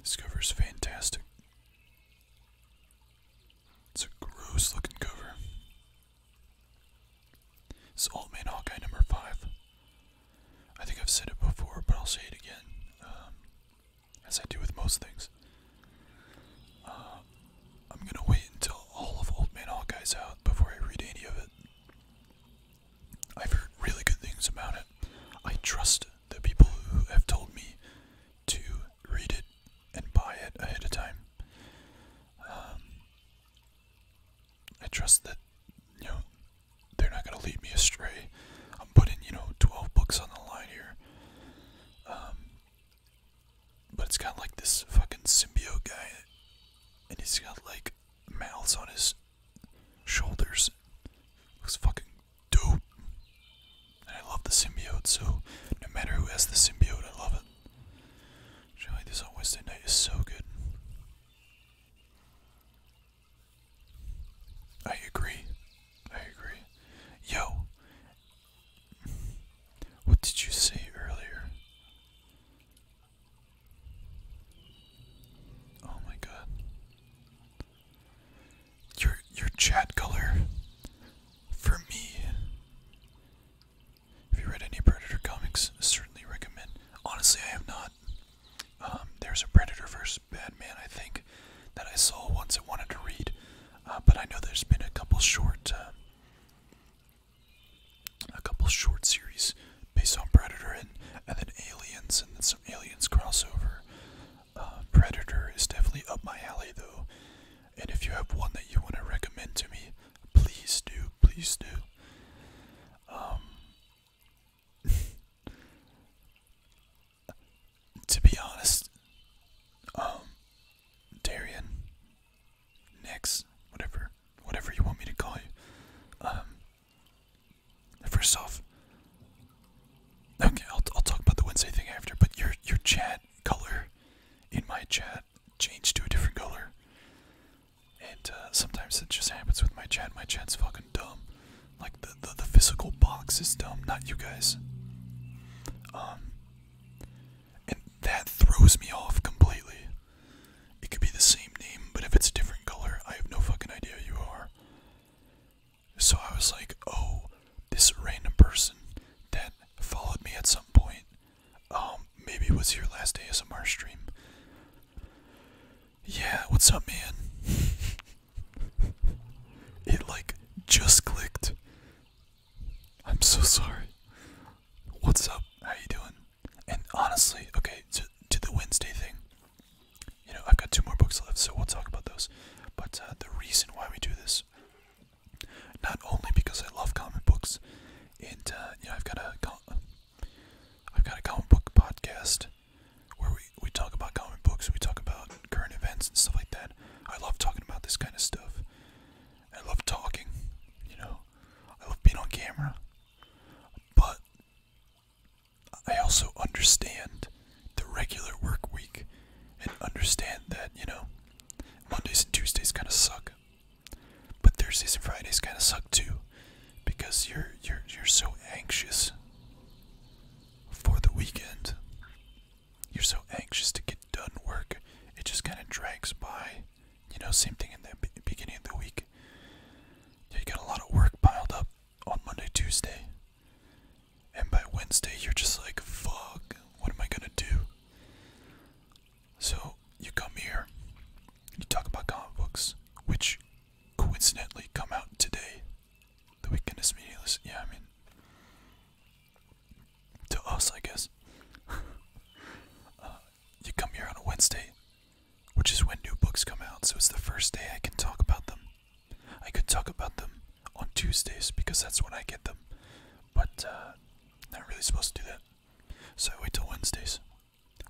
This cover is fantastic. It's a gross looking cover. It's is Old Man Hawkeye number 5. I think I've said it before, but I'll say it again, um, as I do with most things. Um, um, I'm gonna wait until all of Old Man Hawkeye's out before I read any of it. I've heard really good things about it. I trust the people who have told me to read it and buy it ahead of time. Um, I trust that you know they're not gonna lead me astray. I'm putting you know 12 books on the line here. Um, but it's kind of like this fucking symbiote guy, and he's got like mouths on his shoulders. Looks fucking dope. And I love the symbiote, so no matter who has the symbiote, I love it. Actually, this on Wednesday night is so good. I agree. I agree. Yo, what did you say earlier? Oh my god. Your your chat color for me. Have you read any Predator comics? certainly recommend. Honestly, I have not. Um, there's a Predator vs. Batman, I think, that I saw once I wanted to read, uh, but I know there's been a couple short uh, a couple short series based on Predator and, then Aliens and then some Aliens crossover. Uh, Predator is definitely up my alley though, and if you have one that you want to recommend to me, please do, please do. Um, to be honest, um, Darian, Nyx, whatever, whatever you want me to call you. Um, first off, okay, I'll I'll talk about the Wednesday thing after. But your your chat color in my chat changed to a different color, and uh, sometimes it just happens with my chat. My chat's fucking dumb. Like the, the physical box is dumb, not you guys. Um, and that throws me off completely. It could be the same name, but if it's a different color, I have no fucking idea who you are. So I was like, oh, this random person that followed me at some point, um, maybe it was your last ASMR stream. Yeah, what's up, man? it like just clicked. I'm so sorry. What's up? How you doing? And honestly, okay, to, the Wednesday thing, you know, I've got two more books left, so we'll talk about those. But uh, the reason why we do this, not only because I love comic books, and uh, you know, I've got a, I've got a comic book podcast where we we talk about comic books, we talk about current events and stuff like that. I love talking about this kind of stuff. I love talking, you know. I love being on camera. But I also understand the regular work week and understand that, you know, Mondays and Tuesdays kind of suck. But Thursdays and Fridays kind of suck too because you're you're you're so anxious for the weekend. You're so anxious to get done work. It just kind of drags by you know, same thing in the beginning of the week. You got a lot of work piled up on Monday, Tuesday, and by Wednesday, you're just like, fuck, what am I gonna do? So, you come here, you talk about comic books, which coincidentally come out today. The weekend is meaningless. Yeah, I mean, to us, I guess. Uh, you come here on a Wednesday, which is when new books come out, so it's the first day I can talk about them. I could talk about them on Tuesdays because that's when I get them, but uh, not really supposed to do that. So I wait till Wednesdays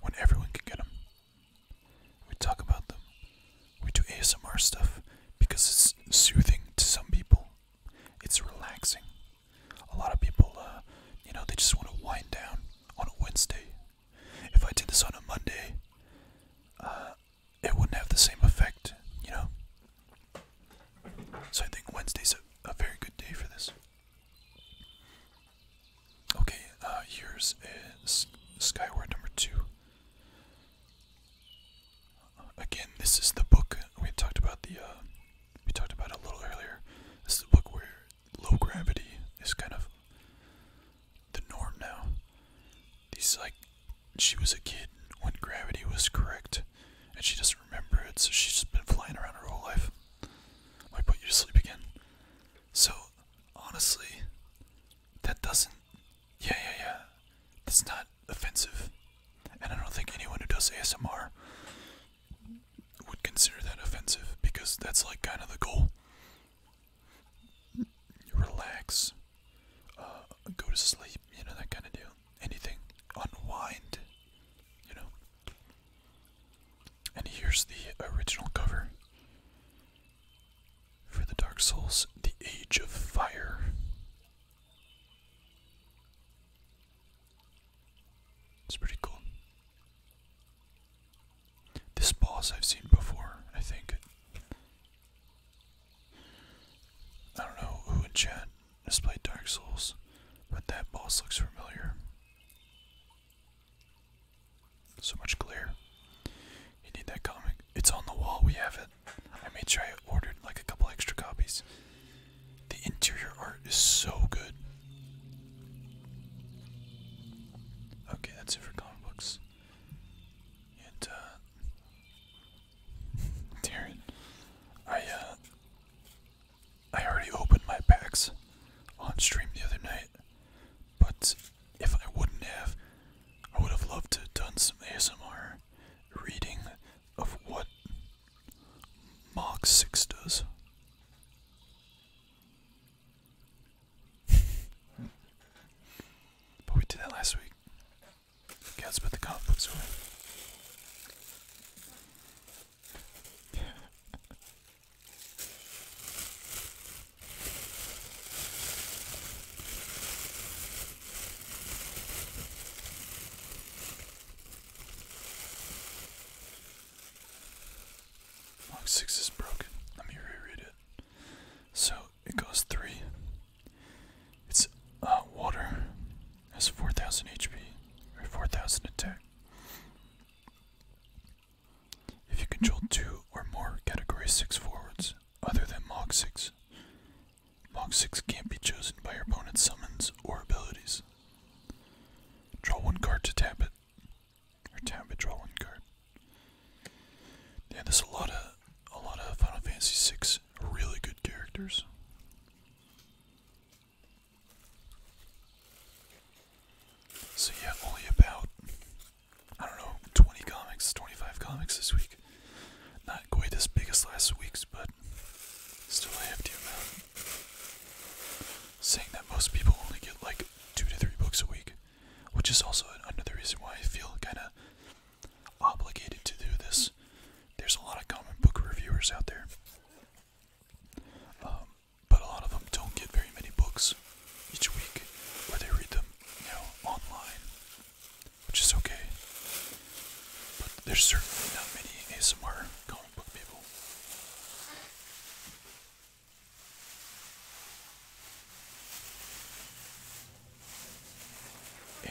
when everyone can get them. We talk about them. We do ASMR stuff because it's soothing to some people, it's relaxing. A lot of people, uh, you know, they just want to wind down on a Wednesday. If I did this on a Monday, uh, it wouldn't have the same effect, you know? So I think Wednesday's a, very good day for this. Okay, uh, here's is Skyward number two. Again, this is the book we talked about the uh, we talked about a little earlier. This is the book where low gravity is kind of the norm now. These like she was a kid when gravity was correct, and she doesn't remember it, so she's just been flying around her whole life. Might put you to sleep again. So honestly, that doesn't. Yeah, yeah, yeah. That's not offensive, and I don't think anyone who does ASMR would consider that offensive because that's like kind of the goal. Relax, uh, go to sleep, you know, that kind of deal. Anything, unwind, you know. And here's the original cover for the Dark Souls The Age of Fire. It's pretty cool. This boss I've seen before, I think. I don't know who in chat has played Dark Souls, but that boss looks familiar. So much glare. You need that comic. It's on the wall, we have it. I made sure I ordered like a couple extra copies. The interior art is so good. Okay, that's it for comic books. And, uh. I, uh. I already opened my packs on stream the other night, but if I wouldn't have, I would have loved to done some ASMR reading of what Mach 6 does. but we did that last week. Okay, let's put the comic books away. Log 6 is broken. Let me reread it. So it goes 3. It's uh, water. Has 4000 HP or 4000 attack. If you control 2 or more category 6 forwards other than Mog 6, Mog 6 can't be chosen by your opponent's summons or abilities. Draw one card to tap it card. Or town card. Yeah, there's a lot of a lot of Final Fantasy VI really good characters. So yeah, only about I don't know, 20 comics, 25 comics this week. Not quite as big last week's, but still I have to amount saying that most people only get like two to three books a week, which is also another reason why I feel kind of obligated to do this. There's a lot of comic book reviewers out there, um, but a lot of them don't get very many books each week, or they read them, you know, online, which is okay. But there's certainly not many ASMR comic book people.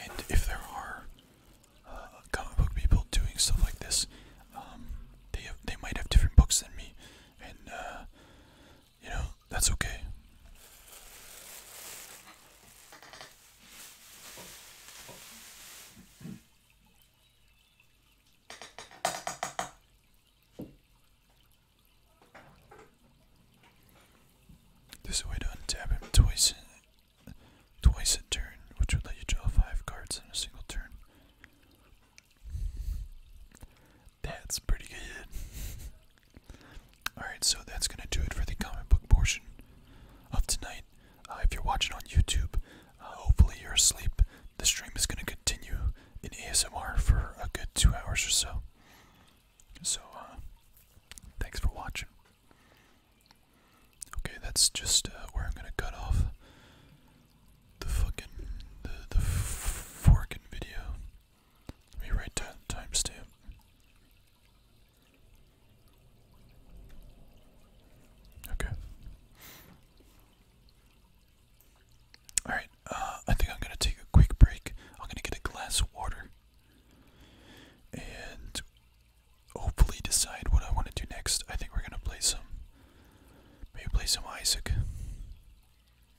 And if there are uh, comic book people doing stuff like this, um, they they might have different books than me, and uh, you know that's okay. There's a way to untap him twice twice a turn, which would let you draw five cards in a single turn. That's pretty good. Alright, so that's gonna do it for the comic book portion of tonight. Uh, if you're watching on YouTube, hopefully, you're asleep. The stream is going to continue in ASMR for a good two hours or so. So, uh, thanks for watching. Okay, that's just uh, where I'm gonna cut off the fucking the the forking video. Let me write down timestamp. Okay. Alright, uh, I think I'm gonna take a quick break. I'm gonna get a glass of water and hopefully decide what I want to do next. I think we're gonna play some. Maybe play some Isaac.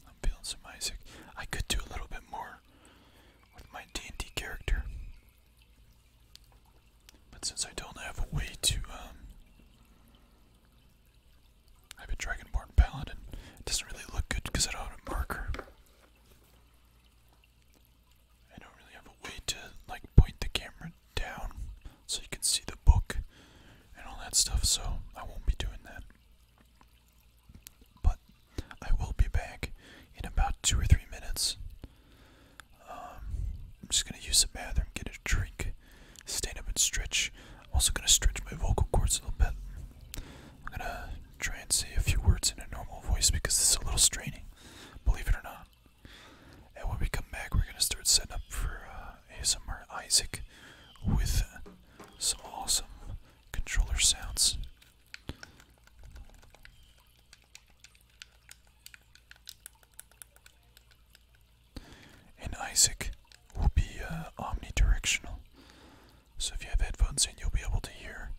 I'm feeling some Isaac. I could do a little bit more with my D&D character. But since I don't have a way to um, I have a Dragonborn Paladin. It doesn't really look good because I don't have a marker. I don't really have a way to like point the camera down so you can see the book and all that stuff, so I won't be doing that. But I will be back in about two or three minutes. Um, I'm just gonna use the bathroom, get a drink, back, stand up and stretch. I'm also gonna stretch my vocal cords a little bit. I'm gonna try and say a few words in a normal voice because this is a little straining, believe it or not. And when we come back, we're gonna start setting up for uh, ASMR Isaac with some awesome controller sounds and Isaac will be uh, omnidirectional. So if you have headphones in, you'll be able to hear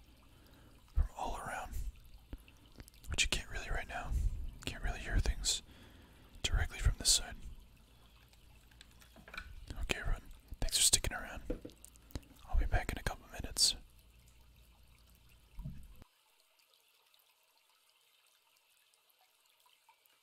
from all around, which you can't really right now. Can't really hear things directly from this side. Okay, everyone, thanks for sticking around. I'll be back in a couple minutes.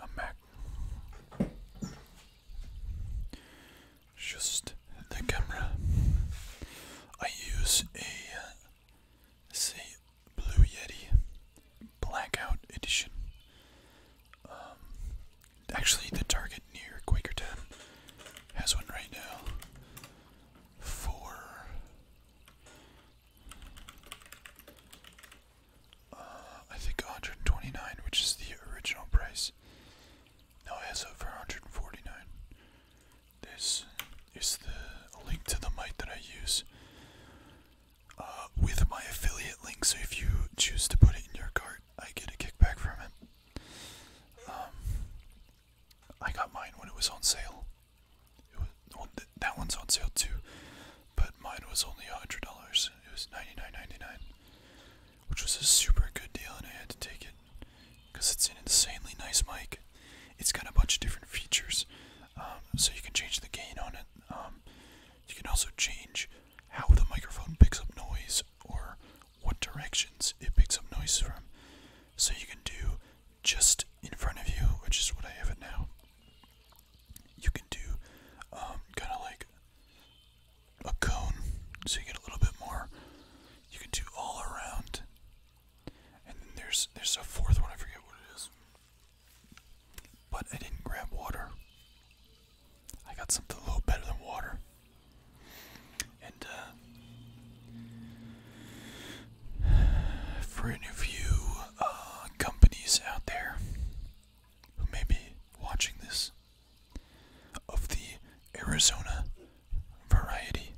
I'm Just the camera. I use a say Blue Yeti Blackout Edition. Um, actually, the Target near Quakertown has one right now for uh, I think 129, which is the original price. No, it has over for 149. This is the link to the mic that I use uh, with my affiliate link. So if you choose to put it in your cart, I get a kickback from it. Um, I got mine when it was on sale. that one's on sale too, but mine was only hundred dollars. It was ninety nine ninety nine, which was a super good deal, and I had to take it because it's an insanely nice mic. It's got a bunch of different features. Um, so you can change the gain on it. Um, you can also change how the microphone picks up noise or what directions it picks up noise from. So you can do just in front of you, which is what I have it now. You can do um, kind of like a cone, so you get a little bit more. You can do all around, and then there's there's a fourth one. I forget what it is. But I didn't grab water. I got something a little better than water. And, uh, for any of you uh, companies out there who may be watching this of the Arizona variety,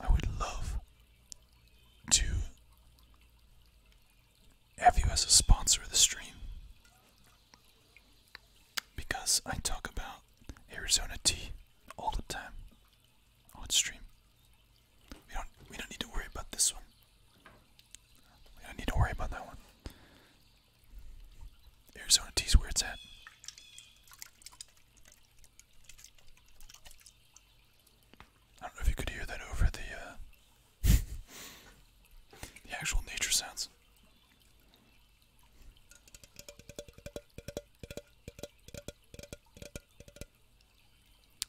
I would love to have you as a sponsor of the stream because I talk about Arizona tea all the time on stream. We don't we don't need to worry about this one. We don't need to worry about that one. Arizona tea's where it's at. I don't know if you could hear that over the uh, the actual nature sounds.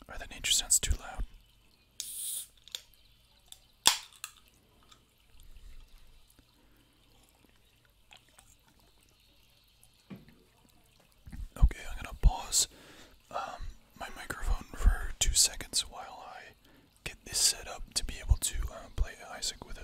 Or the nature sounds too loud. Okay, I'm gonna pause um, my microphone for two seconds while I get this set up to be able to uh, play Isaac with it.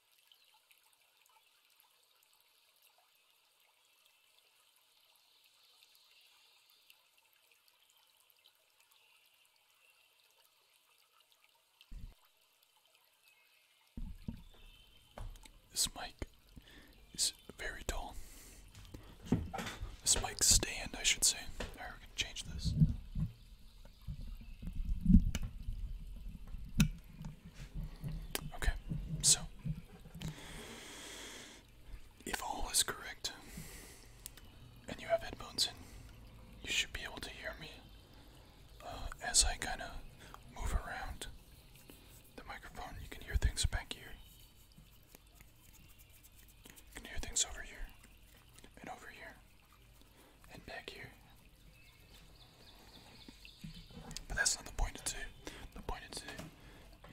This mic is very tall. This mic stand, I should say. Alright, we're gonna change this. Okay, so if all is correct and you have headphones in, you should be able to hear me uh, as I kind of move around the microphone. You can hear things back here. You can hear things over here and over here and back here. But that's not the point of The point of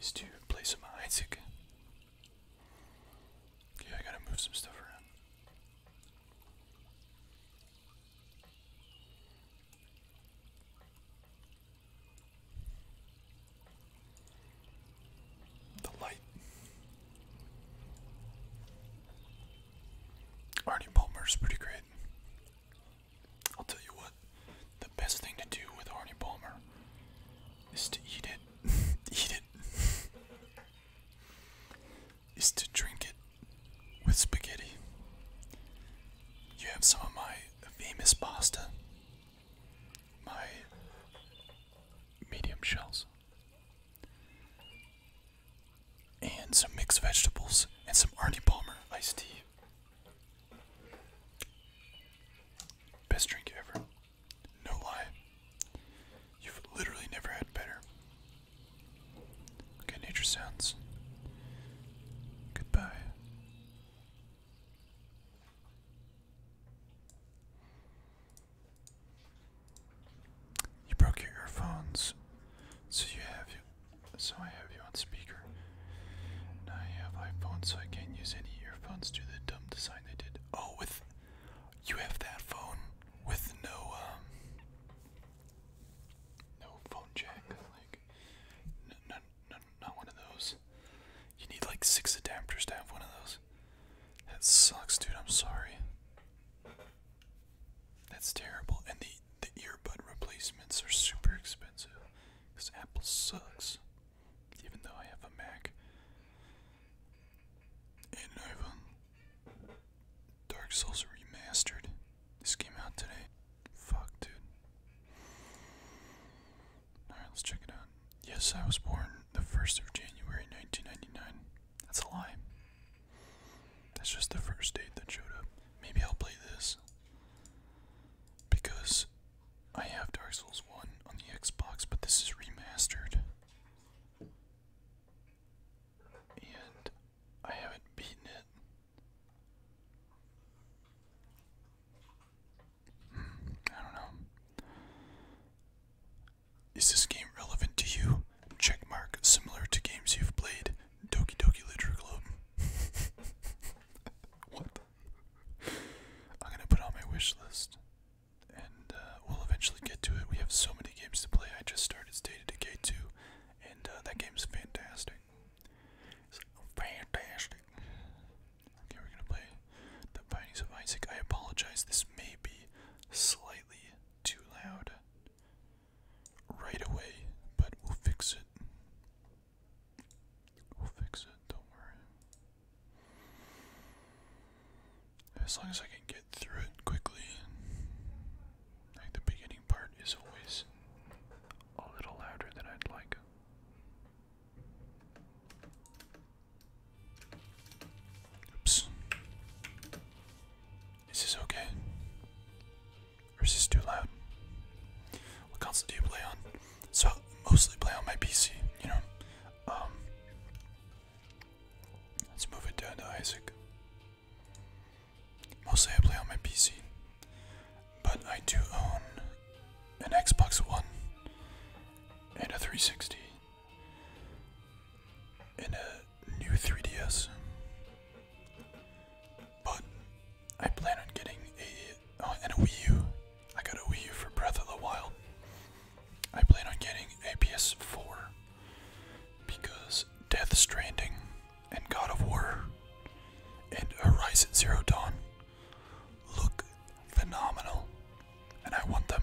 is to play some Isaac. Yeah, I gotta move some stuff around. The light. Arnie Palmer's pretty great. I'll tell you what, the best thing to do with Arnie Palmer is to eat it. eat it. is to drink it with spaghetti. You have some of my famous pasta, my medium shells, and some mixed vegetables and some Arnie Palmer iced tea. Best drink ever. No lie. You've literally never had better. Okay, nature sounds. Goodbye. You broke your earphones, so you have you. So I have you on speaker. Now I have iPhone, so I can't use any earphones due to the dumb design they did. Oh, with you have that phone with no um, no phone jack, like no, not one of those. You need like six adapters to have one of those. That sucks, dude. I'm sorry. That's terrible. And the the earbud replacements are super expensive because Apple sucks. Even though I have a Mac and an Dark Souls Remastered. This came out today. Fuck, dude. Alright, let's check it out. Yes, I was born the 1st of January 1999. That's a lie. That's just the first date that showed up. Maybe I'll play this. Because I have Dark Souls 1 on the Xbox, but this is remastered. And I haven't beaten it. Hmm, I don't know. Is this game relevant to you? Checkmark similar to games you've played. Doki Literature Club. what? I'm gonna put on my wish list, and uh, we'll eventually get to it. We have so many games to play. I just started State 2, and uh, that game's fantastic. It's fantastic. Okay, we're gonna play The Findings of Isaac. I apologize, this may be slightly too loud right away, but we'll fix it. We'll fix it, don't worry. As long as I can get through it quickly, like the beginning part is always a little louder than I'd like. Oops. Is this okay? Or is this too loud? What console do you play on? So I mostly play on my PC, you know. Um Let's move it down to Isaac. Mostly I play on my PC. But I do own an Xbox One and a 360 and a new 3DS. But I plan on getting a uh, and a Wii U. I got a Wii U for Breath of the Wild. I plan on getting a PS4 because Death Stranding and God of War and Horizon Zero Dawn look phenomenal and I want them.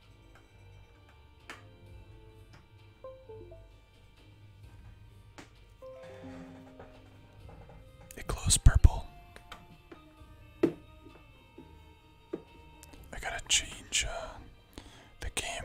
It glows purple. I gotta change uh, the game.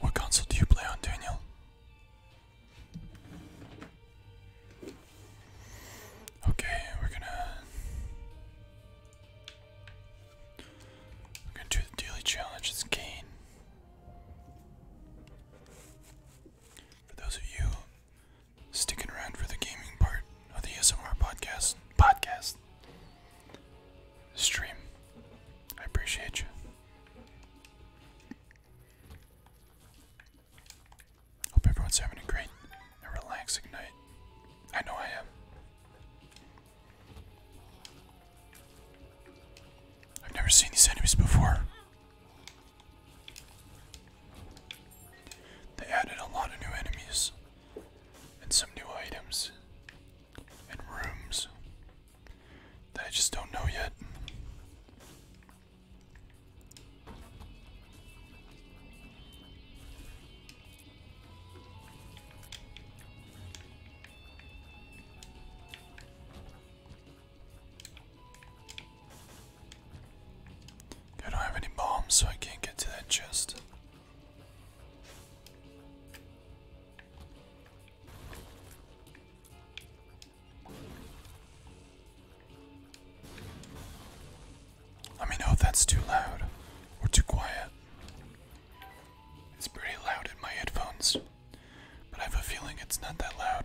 What console do you play on, Daniel? Okay, we're gonna We're gonna do the daily challenge, it's For those of you sticking around for the gaming part of the SMR podcast podcast stream. I appreciate you. Hope everyone's having a great and relaxing night. I know I am. I've never seen these enemies before. They added a lot of new enemies and some new items and rooms that I just don't know yet. I don't have any bombs, so I can't get to that chest. Let me know if that's too loud or too quiet. It's pretty loud in my headphones, but I have a feeling it's not that loud.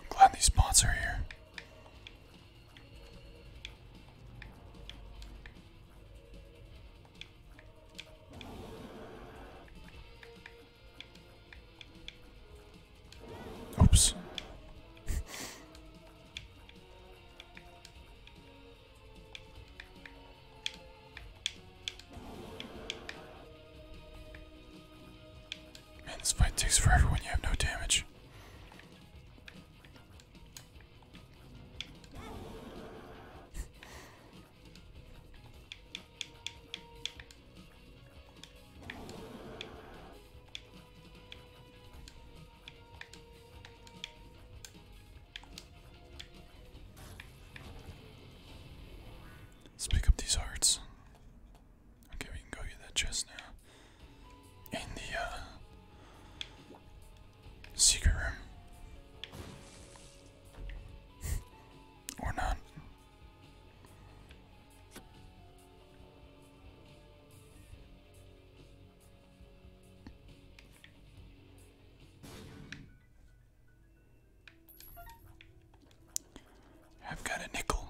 I'm glad these mods are here. Oops. Man, this fight takes forever when you have no damage. Let's pick up these hearts. Okay, we can go get that chest now. In the uh, secret room. or not. I've got a nickel.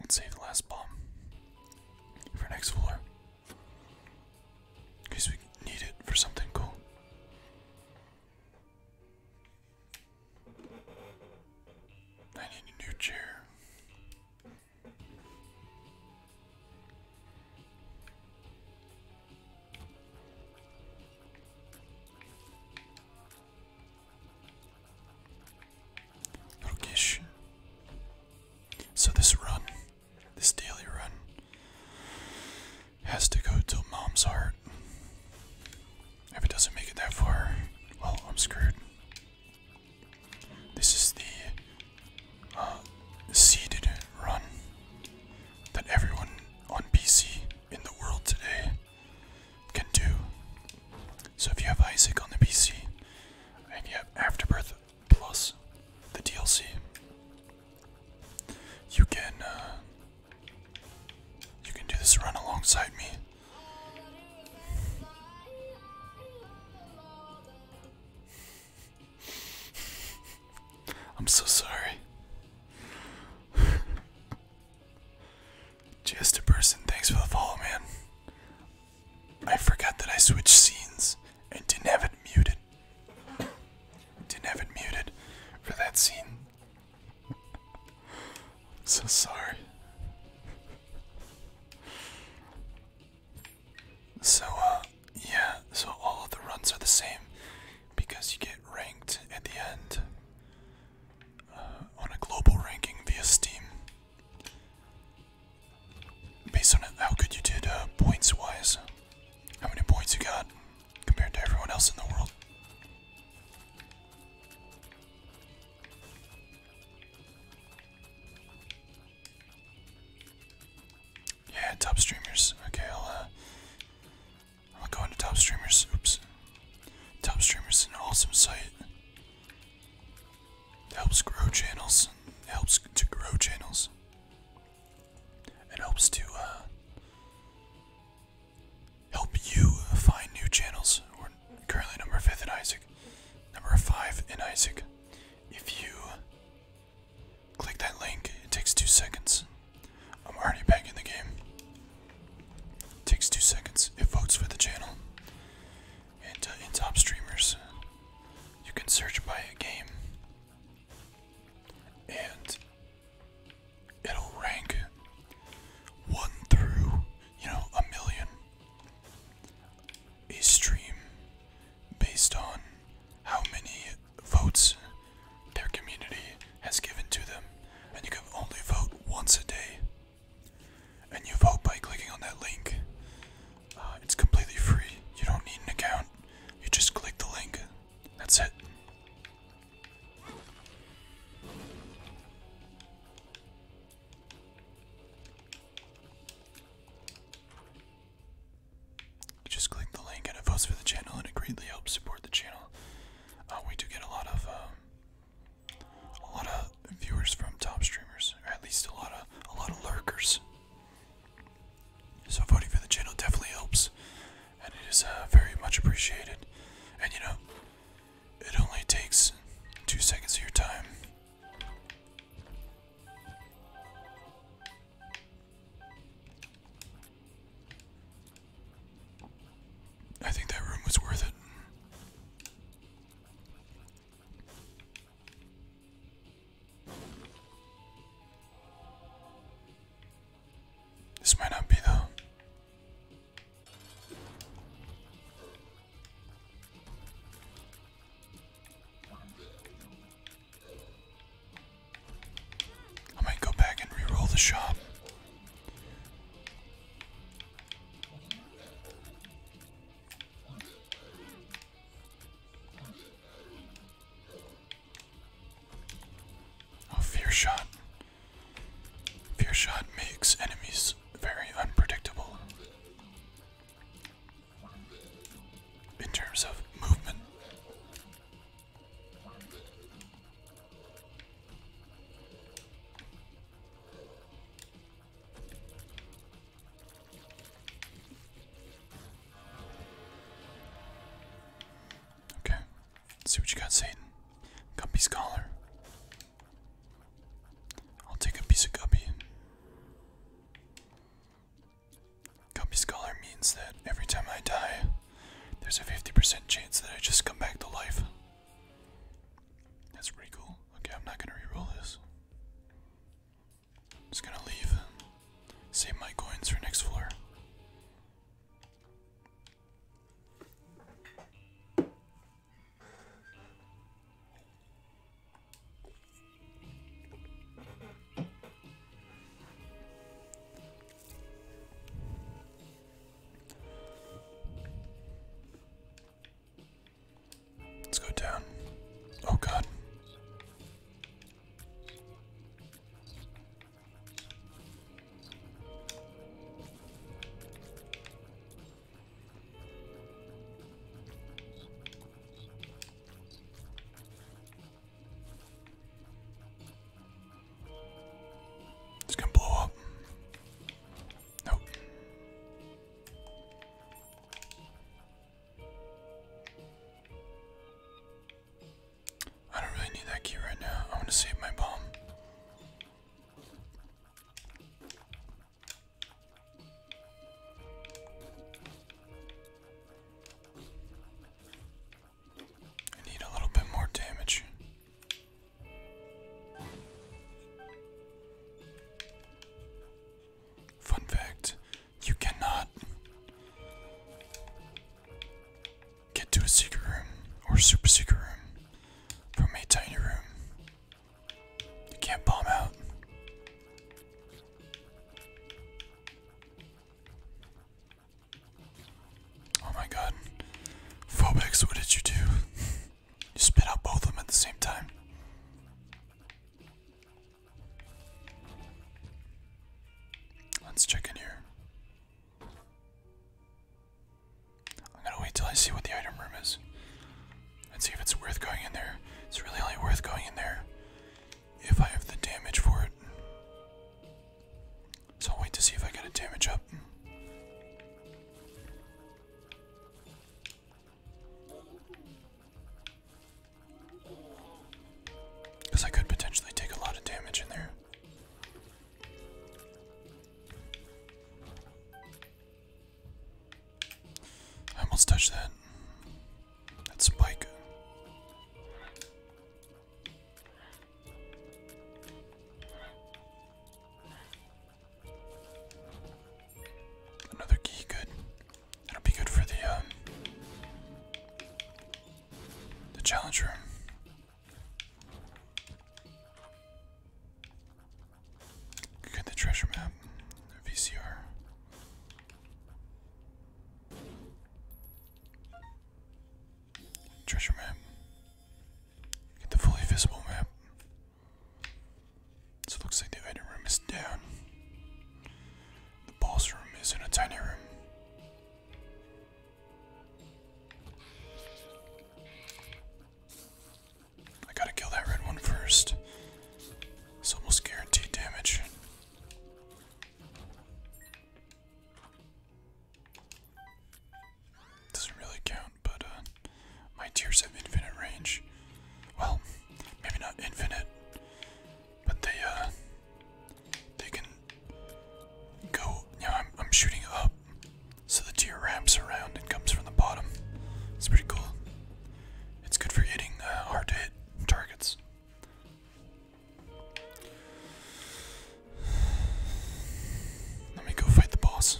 Let's save the last bomb for next floor. In case we need it for something cool. I need a new chair. Rokish. So this run, this daily run, has to go to Mom's Heart. If it doesn't make it that far, well, I'm screwed. This is the uh, seeded run that everyone on PC in the world today can do. So if you have Isaac on the PC and you have Afterbirth plus the DLC, you can uh, you can do this run alongside me. I'm so sorry. Just a person, thanks for the follow, man. I forgot that I switched scenes and didn't have it muted. Didn't have it muted for that scene. so sorry. So, uh, yeah, so all of the runs are the same because you get ranked at the end uh, on a global ranking via Steam. Based on how good you did uh, points wise, how many points you got compared to everyone else in the world. Yeah, top streamers. Okay, I'll uh, I'm going to top streamers. Oops. Top streamers is an awesome site. It helps grow channels. It helps to grow channels. It helps to uh, help you find new channels. we currently number five in Isaac. Number five in Isaac. If you click that link, it takes two seconds. I'm already back in the game. Takes two seconds. It votes for the channel. And in uh, top streamers, you can search by a game, and it'll rank one through, you know, a million. A stream based on how many votes their community has given to them, and you can only vote once a day. And you vote by clicking on that link. Uh, it's completely free. You don't need an account. You just click the link. That's it. You just click the link and it votes for the channel and it greatly helps support the channel. Uh, we do get a lot of um, a lot of viewers from top streamers, or at least a lot of a lot of lurkers. So voting for the channel definitely helps, and it is uh, very much appreciated. And you know, it only takes two seconds of your time. I think that room was worth it. This might not be though. I might go back and re the shop. Oh, fear shot. Fear shot makes enemies very unpredictable in terms of movement. Okay, see what you got, Satan. Guppy's scholar. I'll take a piece of guppy. Guppy's collar means that every time I die, there's a 50% chance that I just come back to life. That's pretty cool. Okay, I'm not gonna reroll this. Just gonna leave. Save my coins for next floor. Let's go down. Oh god. It's gonna blow up. Nope. I don't really need that key right now. I want to save my bomb. I need a little bit more damage. Fun fact you cannot get to a secret room or super secret room from a tiny room. You can't bomb out. Oh my god. Phobex, what did you do? you spit out both of them at the same time. Let's check in here. I'm gonna wait till I see what the item room is. Let's see if it's worth going in there. It's really only worth going in there if I have the damage for it. So I'll wait to see if I get a damage up. Because I could potentially take a lot of damage in there. I almost touched that. That spike. Another key, good. That'll be good for the um, the challenge room. Get the treasure map, VCR. Treasure map. Get the fully visible map. So it looks like the item room is down. The boss room is in a tiny room. I gotta kill that red one first. It's almost guaranteed damage. Doesn't really count, but uh, my tears have infinite range. Well, maybe not infinite, but they uh, they can go. Yeah, I'm shooting up, so the tear ramps around and comes from the bottom. It's pretty cool. It's good for hitting uh, hard to hit targets. Let me go fight the boss.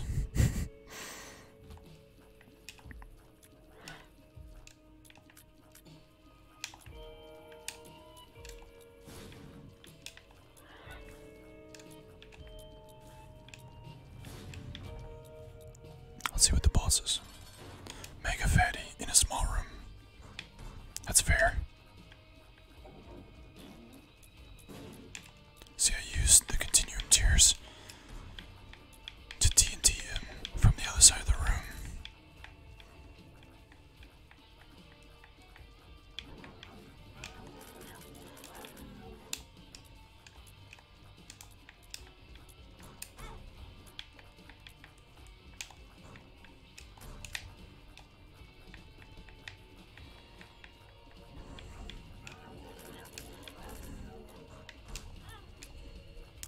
Let's see what the boss is. Mega fatty in a small room. That's fair. See, I used the continuum tears to TNT him um, from the other side of the room.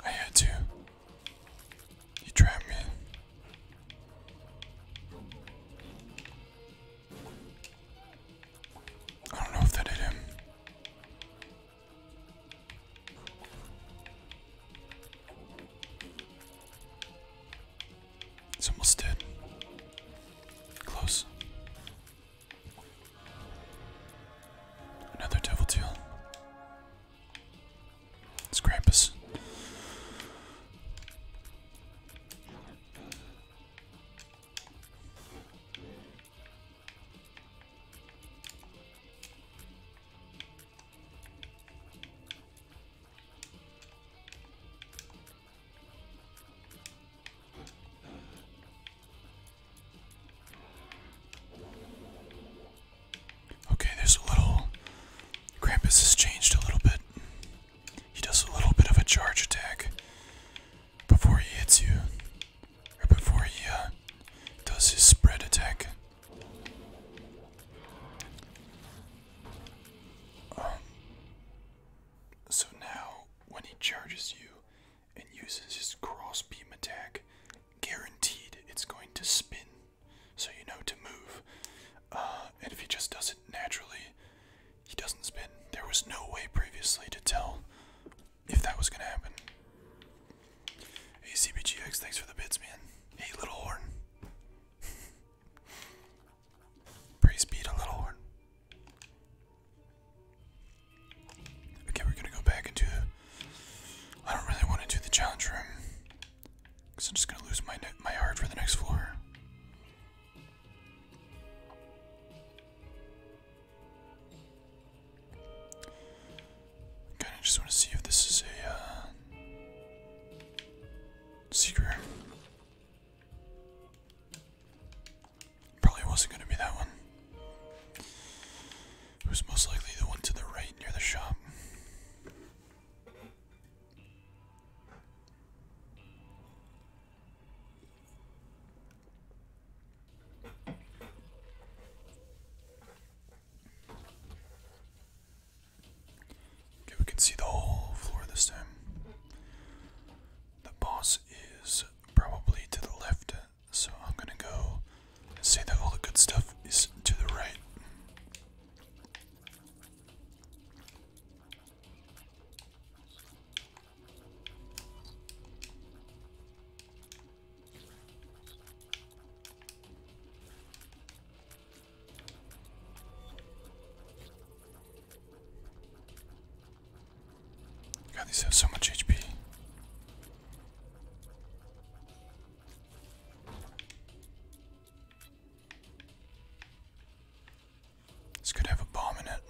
I had to. You trapped me. I don't know if that hit him. It's almost dead. Close. Another devil tail. It's Krampus. Okay, there's a little. Krampus has changed a little bit. He does a little bit of a charge attack before he hits you, or before he uh, does his spread attack. Um, so now when he charges you and uses his crossbeam attack, guaranteed it's going to spin, so you know to move. Uh, and if he just does it naturally, he doesn't spin. There was no way previously to tell if that was gonna happen. Hey CBGX, thanks for the bits, man. Hey, little horn. Praise be to the Okay, we're gonna go back into. I don't really want to do the challenge room, cause I'm just gonna lose my my heart for the next floor. Kind of just want to see if this is a uh, secret Probably wasn't going to be that one. It was most likely the one to the right near the shop. Okay, we can see the whole floor this time. The boss is probably to the left, so I'm gonna go and say that all the good stuff is to the right. God, these have so much HP. This could have a bomb in it.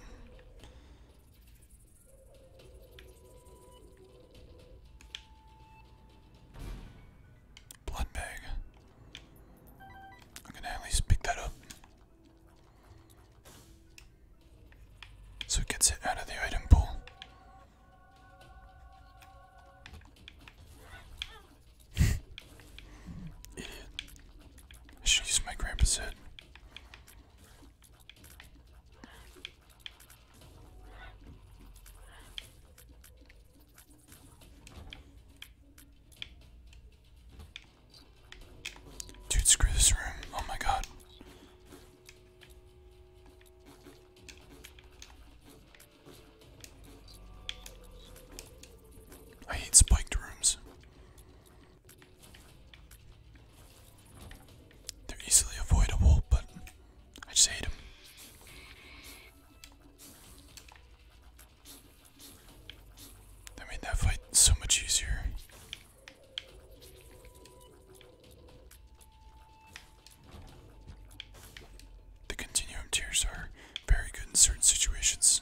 Blood bag. I'm gonna at least pick that up. So it gets it out of the item pool. Idiot. I should use my grandpa's head. Dude, screw this room. Oh my god. I hate spiked rooms. They're easily avoidable, but I just hate them. That made that fight so much easier. The continuum tiers are very good in certain situations.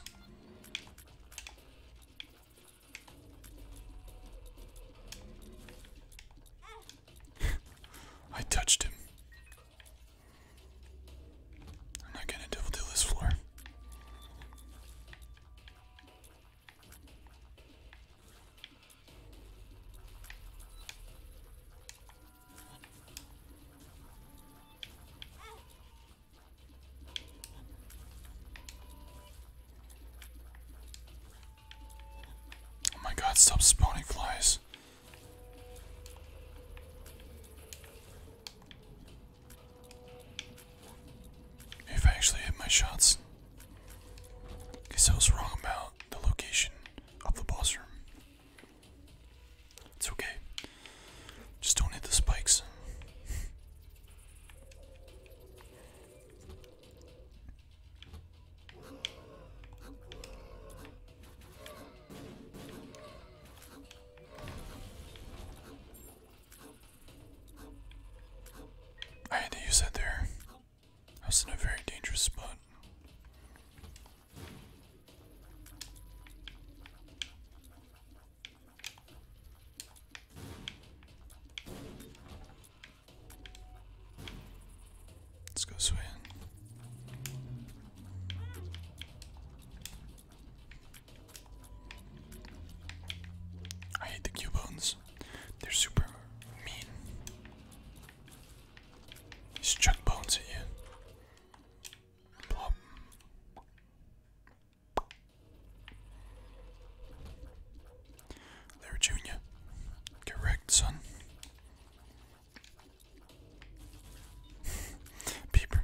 I touched him. am not gonna devil deal this floor. Oh my god, stop spawning flies. If I actually hit my shots. Guess I was wrong about the location of the boss room. It's okay. Just don't hit the spikes. I had to use that there. I was in a very dangerous spot. Let's go swim. I hate the Cubones. They're super mean. Just chuck bones at you. Plop. There, Junior. Get wrecked, son. Peeper.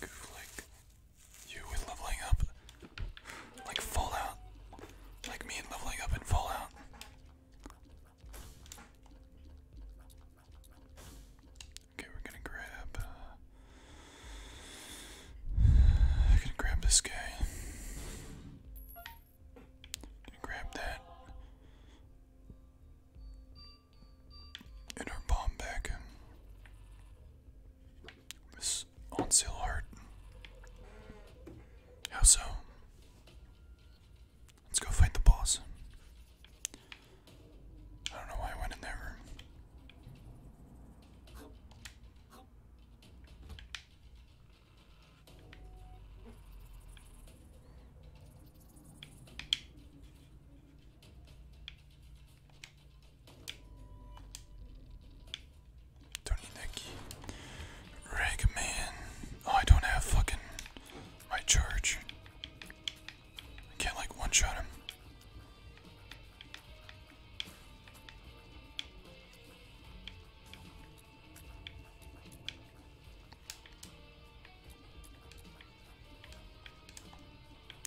Goof you with leveling up. Like Fallout. Like me and leveling up in Fallout. Okay, we're gonna grab. Uh, i gonna grab this guy. Gonna grab that. And our bomb back. This on sale art. How so? Let's go fight the boss. I don't know why I went in there. Tony Nicky. Ragman. Oh, I don't have fucking my charge. I can't like one shot him.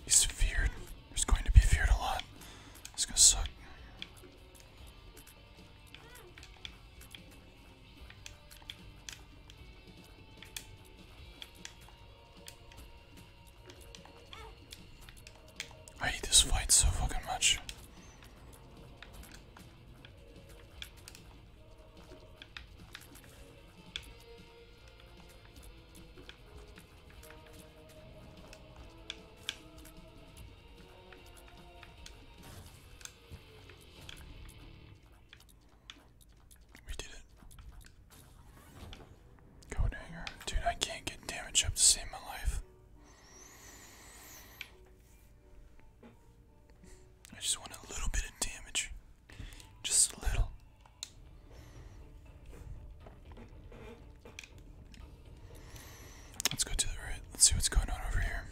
He's feared. He's going to be feared a lot. It's gonna suck. I hate this fight so fucking much. We did it. Go Dude, I can't get damage up to save my life. I just want a little bit of damage. Just a little. Let's go to the Let's see what's going on over here.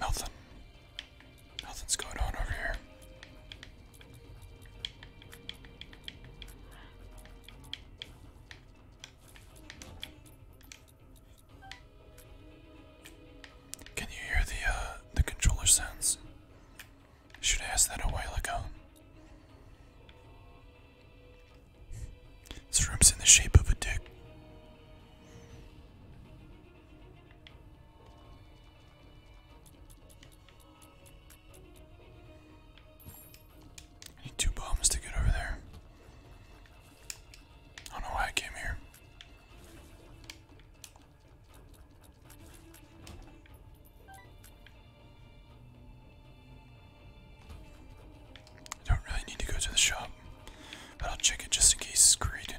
Nothing. Nothing's going on over here. Can you hear the uh, the controller sounds? Should ask that a while ago. This room's in the shape of a dick. I need two bombs to get over there. I don't know why I came here. I don't really need to go to the shop, but I'll check it just in case it's greeted.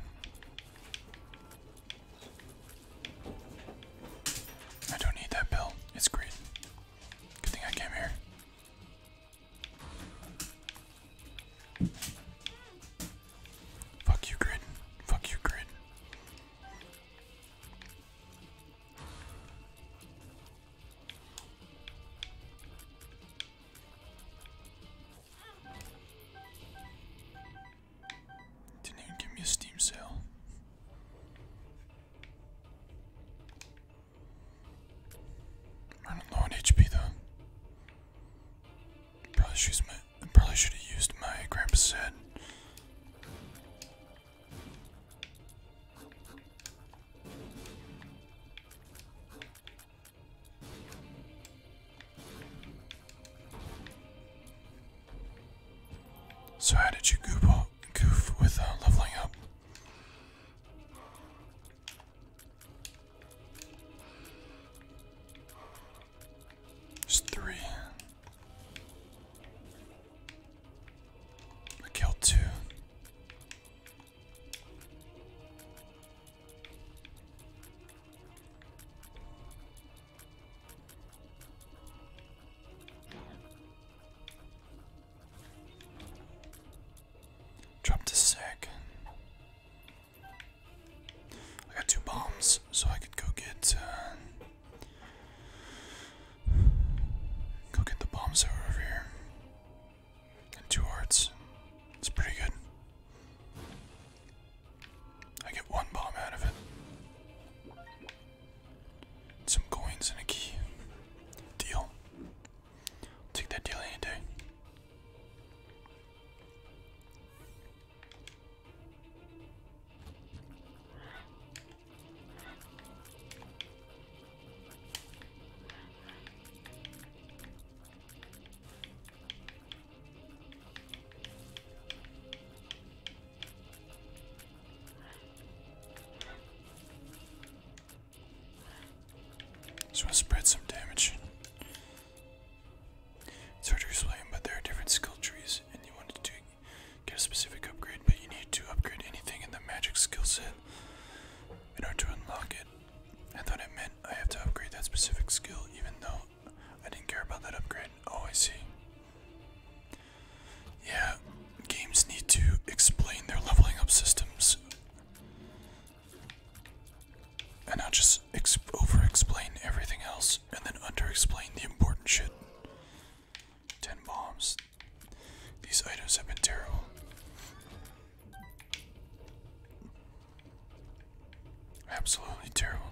I don't need that bill. It's green. Good thing I came here. Fuck you, grid. Fuck you, grid. Didn't even give me a steam sale. I'm low on HP though. Probably should my probably should have used my grandpa's head. So how did you goof, goof with uh, leveling up? There's three. I killed two. Dropped a sec. I got two bombs, so I could go get uh, go get the bombs that were over here. And two hearts. It's pretty good. I get one bomb out of it. Some coins and a key. Deal. Take that deal any day. Just want to spread some damage. It's hard to explain, but there are different skill trees, and you wanted to get a specific upgrade, but you need to upgrade anything in the magic skill set in order to unlock it. I thought it meant I have to upgrade that specific skill, even though I didn't care about that upgrade. Oh, I see. Yeah, games need to explain their leveling up systems and not just over explain everything else and then under explain the important shit. 10 bombs. These items have been terrible. Absolutely terrible.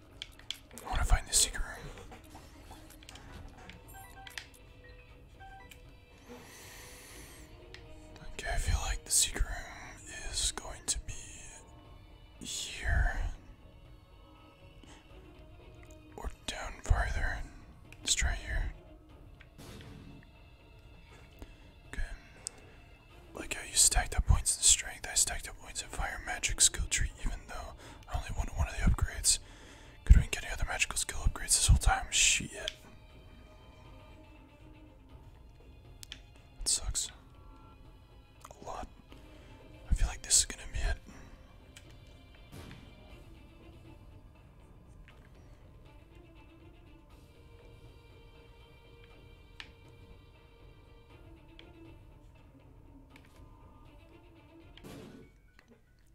I want to find the secret room. Okay, I feel like the secret room is going to be here. Or down farther. Let's try here. Okay. Like how you stacked up points in strength, I stacked up points in fire magic skill tree, even though I only wanted one of the upgrades. Could we get any other magical skill upgrades this whole time? Shit. It sucks. A lot. I feel like this is gonna be it.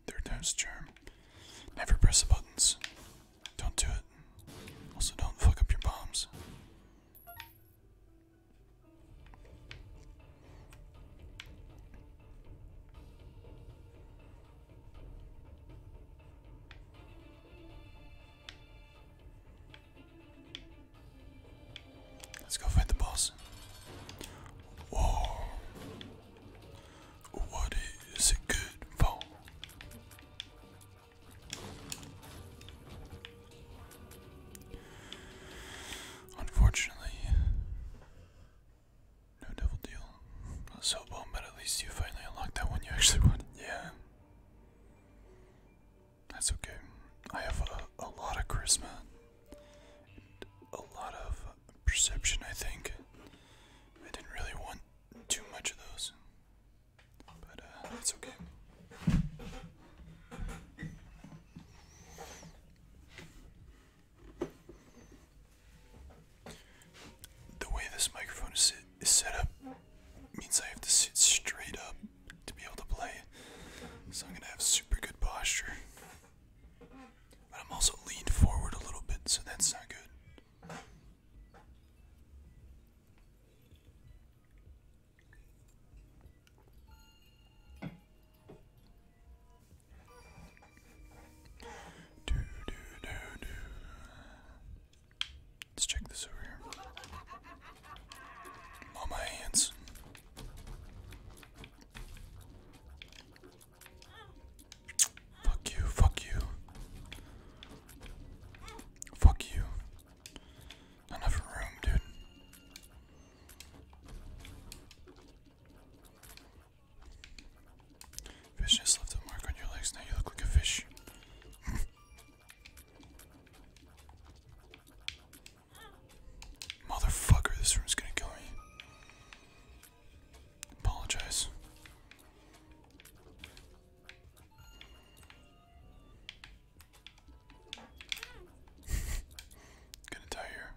Third time's a charm. Never press the buttons. Don't do it. Also, don't fuck up your bombs. Let's go fight the boss. Whoa. What is it good for? Unfortunately, no devil deal. So well, but at least you finally unlocked that one you actually wanted. Yeah. That's okay. I have a lot of charisma a lot of perception, I think. I didn't really want too much of those, but that's uh, okay. The way this microphone is, set up means I have to sit straight up to be able to play, so I'm gonna have super good posture. But I'm also leaned forward a little bit, so that's not good. Do, do, do, do. Let's check this over here. On my hands. Fuck you, fuck you. Fuck you. enough room, dude. Fish just left a mark on your legs, now you look like a fish. Motherfucker, this room's gonna kill me. Apologize. gonna die here.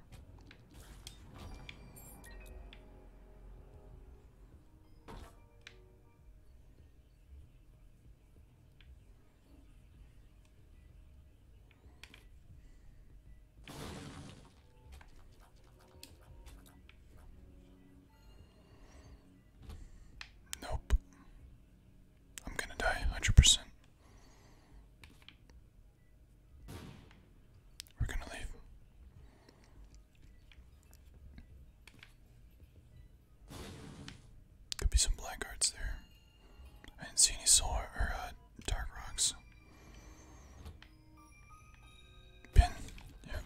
Nope. I'm gonna die 100%. We're gonna leave. Could be some blackguards there. I didn't see any solar or uh, dark rocks. Pin. Yep.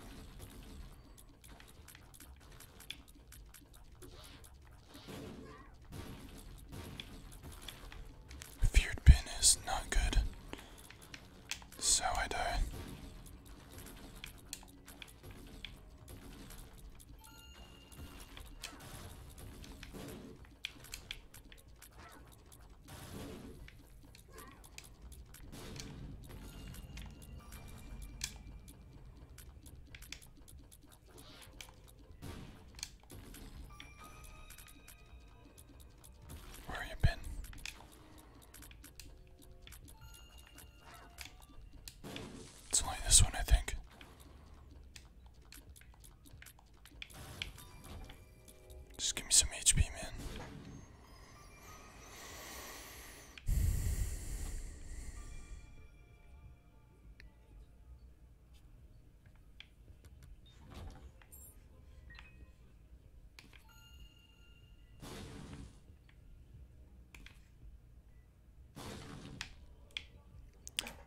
Feared pin is not good. So I die. Where have you been? It's only this one, I think. Just give me some HP, man.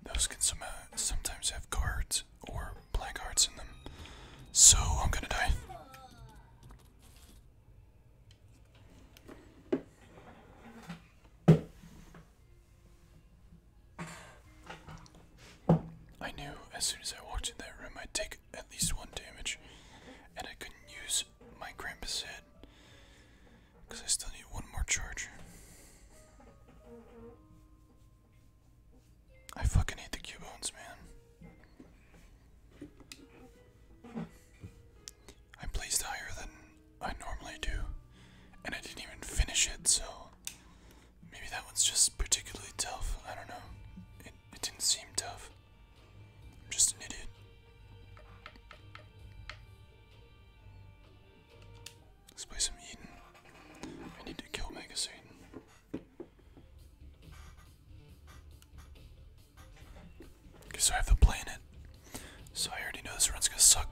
Those can some, sometimes have cards or black cards in them. So I'm gonna die. I knew as soon as I walked in that room I'd take at least one damage, and I couldn't use my Grampus head because I still need one more charge. I fucking hate the Cubones, man. I placed higher than I normally do, and I didn't even finish it, so maybe that one's just particularly tough. I don't know. It, it didn't seem tough. I'm just an idiot. Let's play some Eden. I need to kill magazine. soon. Okay, so I have the planet. So I already know this run's gonna suck.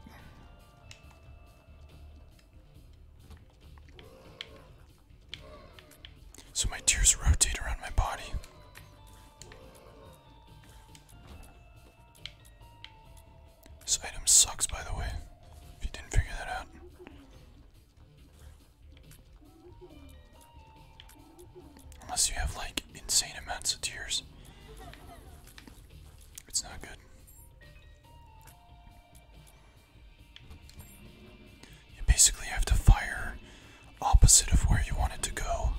So my tears rotate around my body. This item sucks, by the way, if you didn't figure that out. Unless you have like insane amounts of tears, it's not good. You basically have to fire opposite of where you want it to go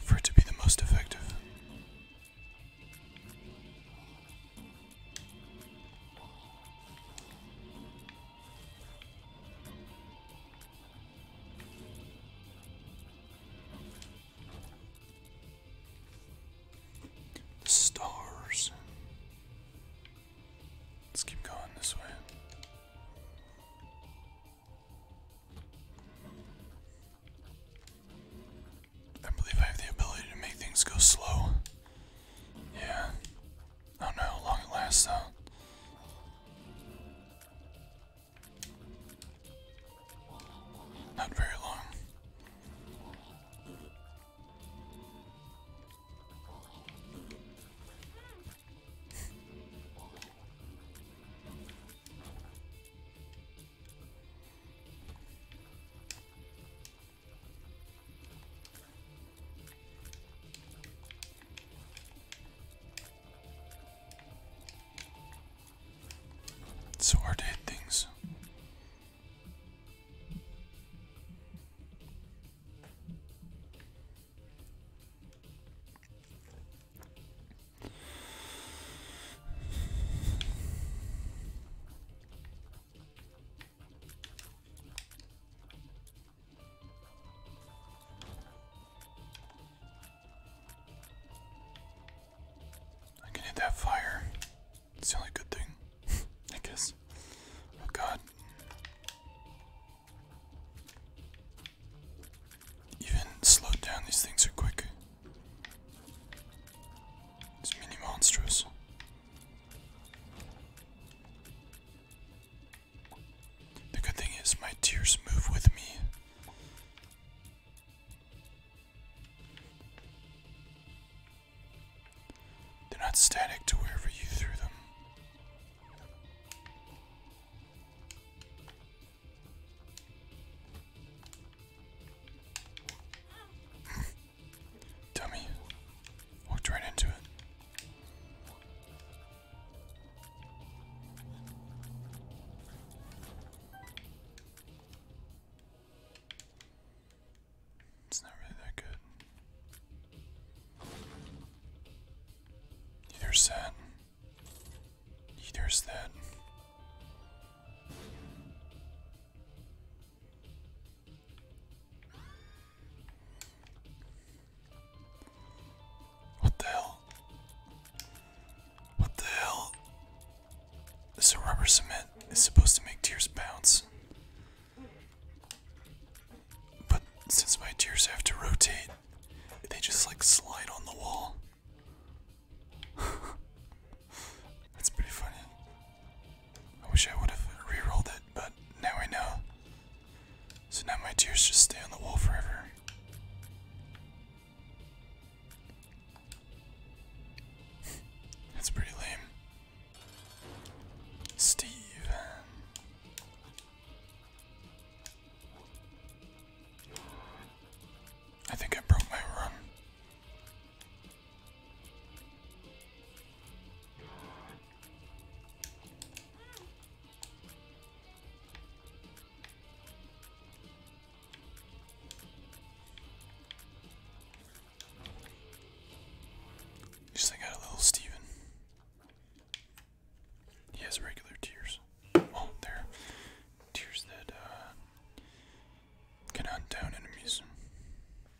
for it to be the most effective. The stars. Let's keep going this way. I believe I have the ability to make things go slow. Yeah. I don't know how long it lasts though. Not very long so hard to hit things. I can hit that fire. It's the only good thing, I guess. Oh god. Even slowed down, these things are quick. These mini monsters. The good thing is, my tears move with me. They're not static to wherever you threw them. Dummy. Walked right into it. It's not really that good. Either's that. Either's that. What the hell? What the hell? This rubber cement is supposed to make tears bounce. But since my tears have to rotate, they just like slide on the wall. That's pretty funny. I wish I would have re-rolled it, but now I know. So now my tears just stay on the wall forever. That's pretty lame. Steven. I think I broke my run. Just think I a little Steven. He has regular tears. Well, they tears that uh, can hunt down enemies.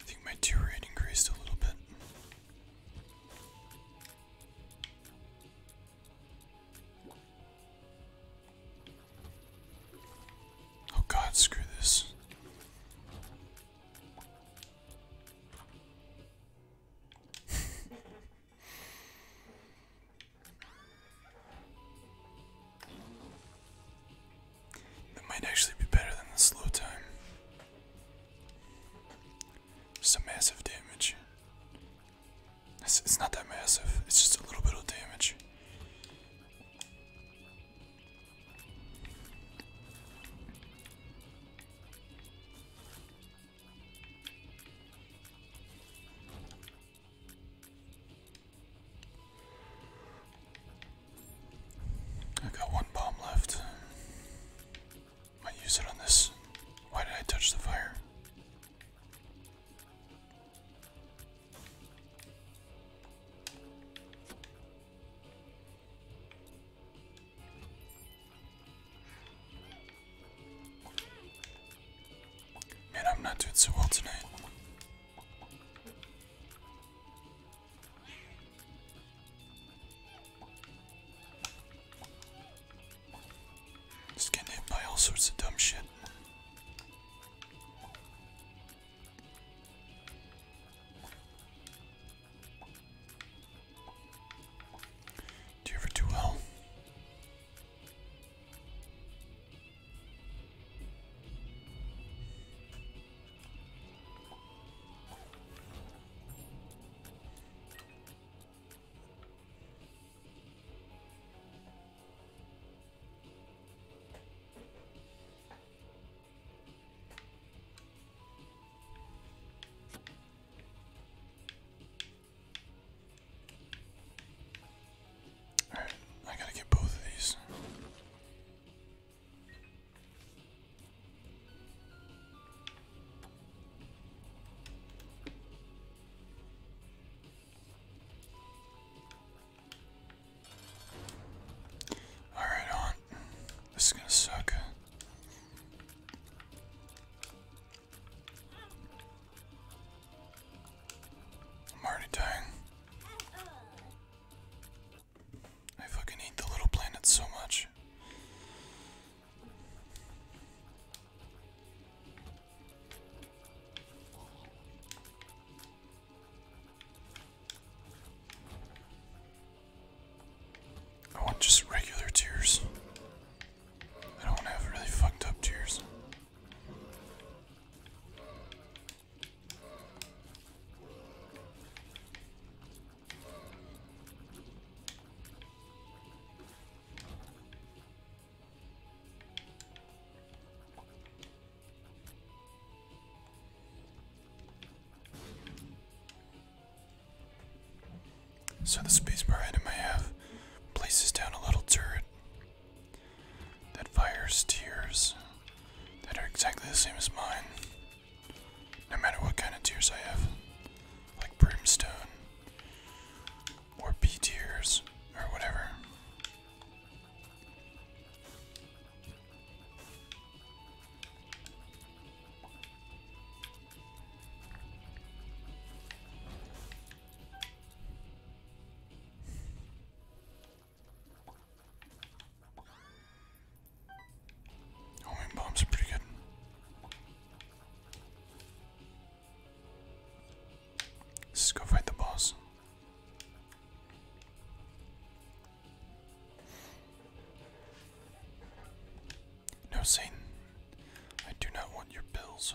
I think my tier rate increased a little bit. Oh god, screw this. That might actually be better than the slow time. Just a massive damage. It's, not that massive, it's just a little bit of damage. I got one bomb left. Might use it on this. Why did I touch the fire? Man, I'm not doing so well tonight. Just getting hit by all sorts of dumb shit. Do you ever do well? Alright, I gotta get both of these. All right, on. This is gonna suck. I'm already dying. I fucking hate the little planet so much. I want just regular tears. I don't want to have really fucked up tears. So the spacebar item I have places down a little turret that fires tears that are exactly the same as mine, no matter what kind of tears I have, like brimstone or B tiers or whatever. Homing bombs are pretty good. Let's go fight the boss. No, Satan. I do not want your pills.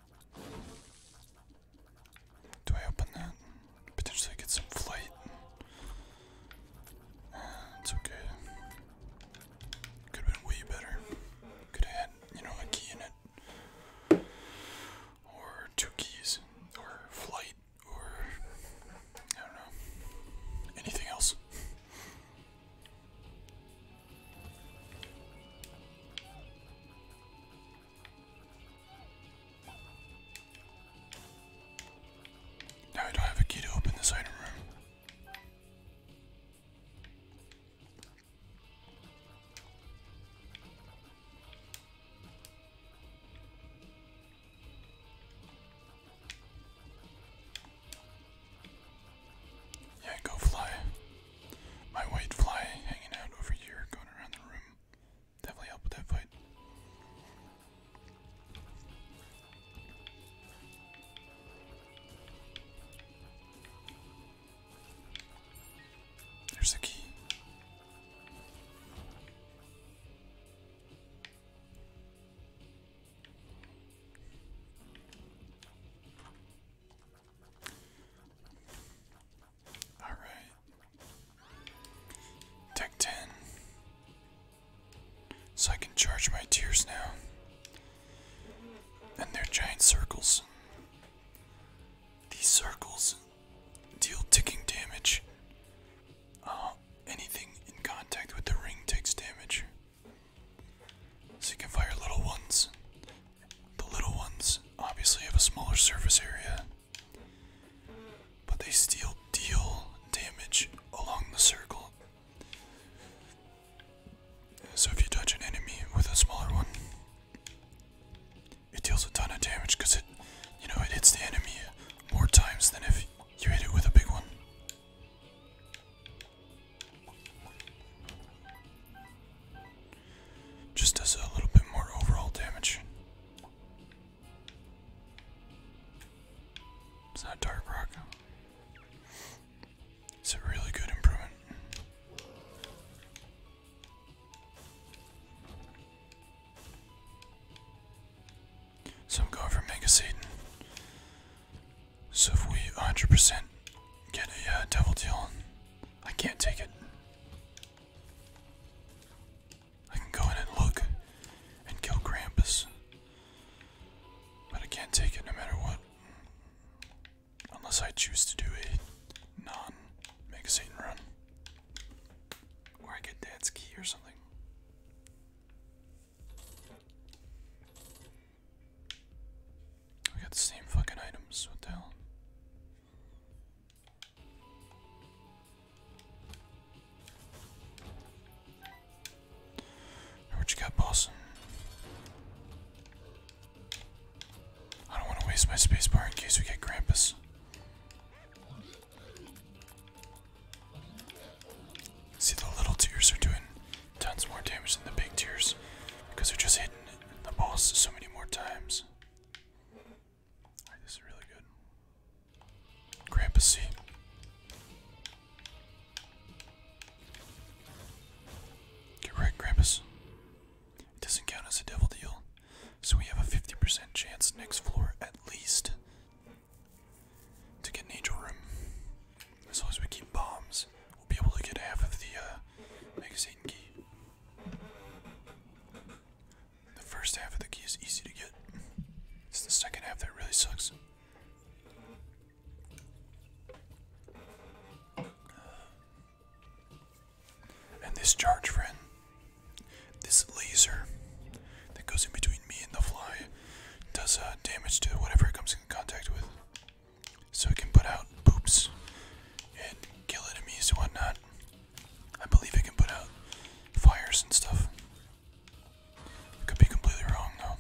Do I open that? Potentially get some flight. Eh, it's okay. Could have been way better. Could have had, you know, a key in it. Or two keys. Or flight. Or. I don't know. Anything else. Now I don't have a key to open this item room. Yeah, go fly. My white fly hanging out over here, going around the room. Definitely help with that fight. There's the key. All right. Tech 10. So I can charge my tears now. And they're giant circles. These circles deal ticking damage. Uh, anything in contact with the ring takes damage. So you can fire little ones the little ones obviously have a smaller surface area, but they still deal damage along the circle. So if you touch an enemy with a smaller one, it deals a ton of damage because it, you know, it hits the enemy more times than if you hit it with a big one. Just does a little bit more overall damage. It's not Dark Rock. It's a really good improvement. So I'm going for Mega Satan. So if we 100% get a uh, Devil Deal, I can't take it. I can go in and look and kill Krampus, but I can't take it no matter what. Unless I choose to do a non Mega run. Or I get Dad's key or something. We got the same fucking items, what the hell? What you got, boss? I don't want to waste my spacebar in case we get Krampus. See, the little tears are doing tons more damage than the big tears because they're just hidden the boss so many more times. this is really good. Grandpa Get right, Grampus. It doesn't count as a devil deal, so we have a 50% chance next floor at least to get an angel room. As long as we keep bombs, we'll be able to get half of the uh, magazine key. The first half of the key is easy to get. It's the second half that really sucks. And this charge, friend, this laser that goes in between me and the fly, does uh, damage to whatever it comes in contact with so we can put out poops and kill enemies and whatnot. I believe it can put out fires and stuff. Could be completely wrong though.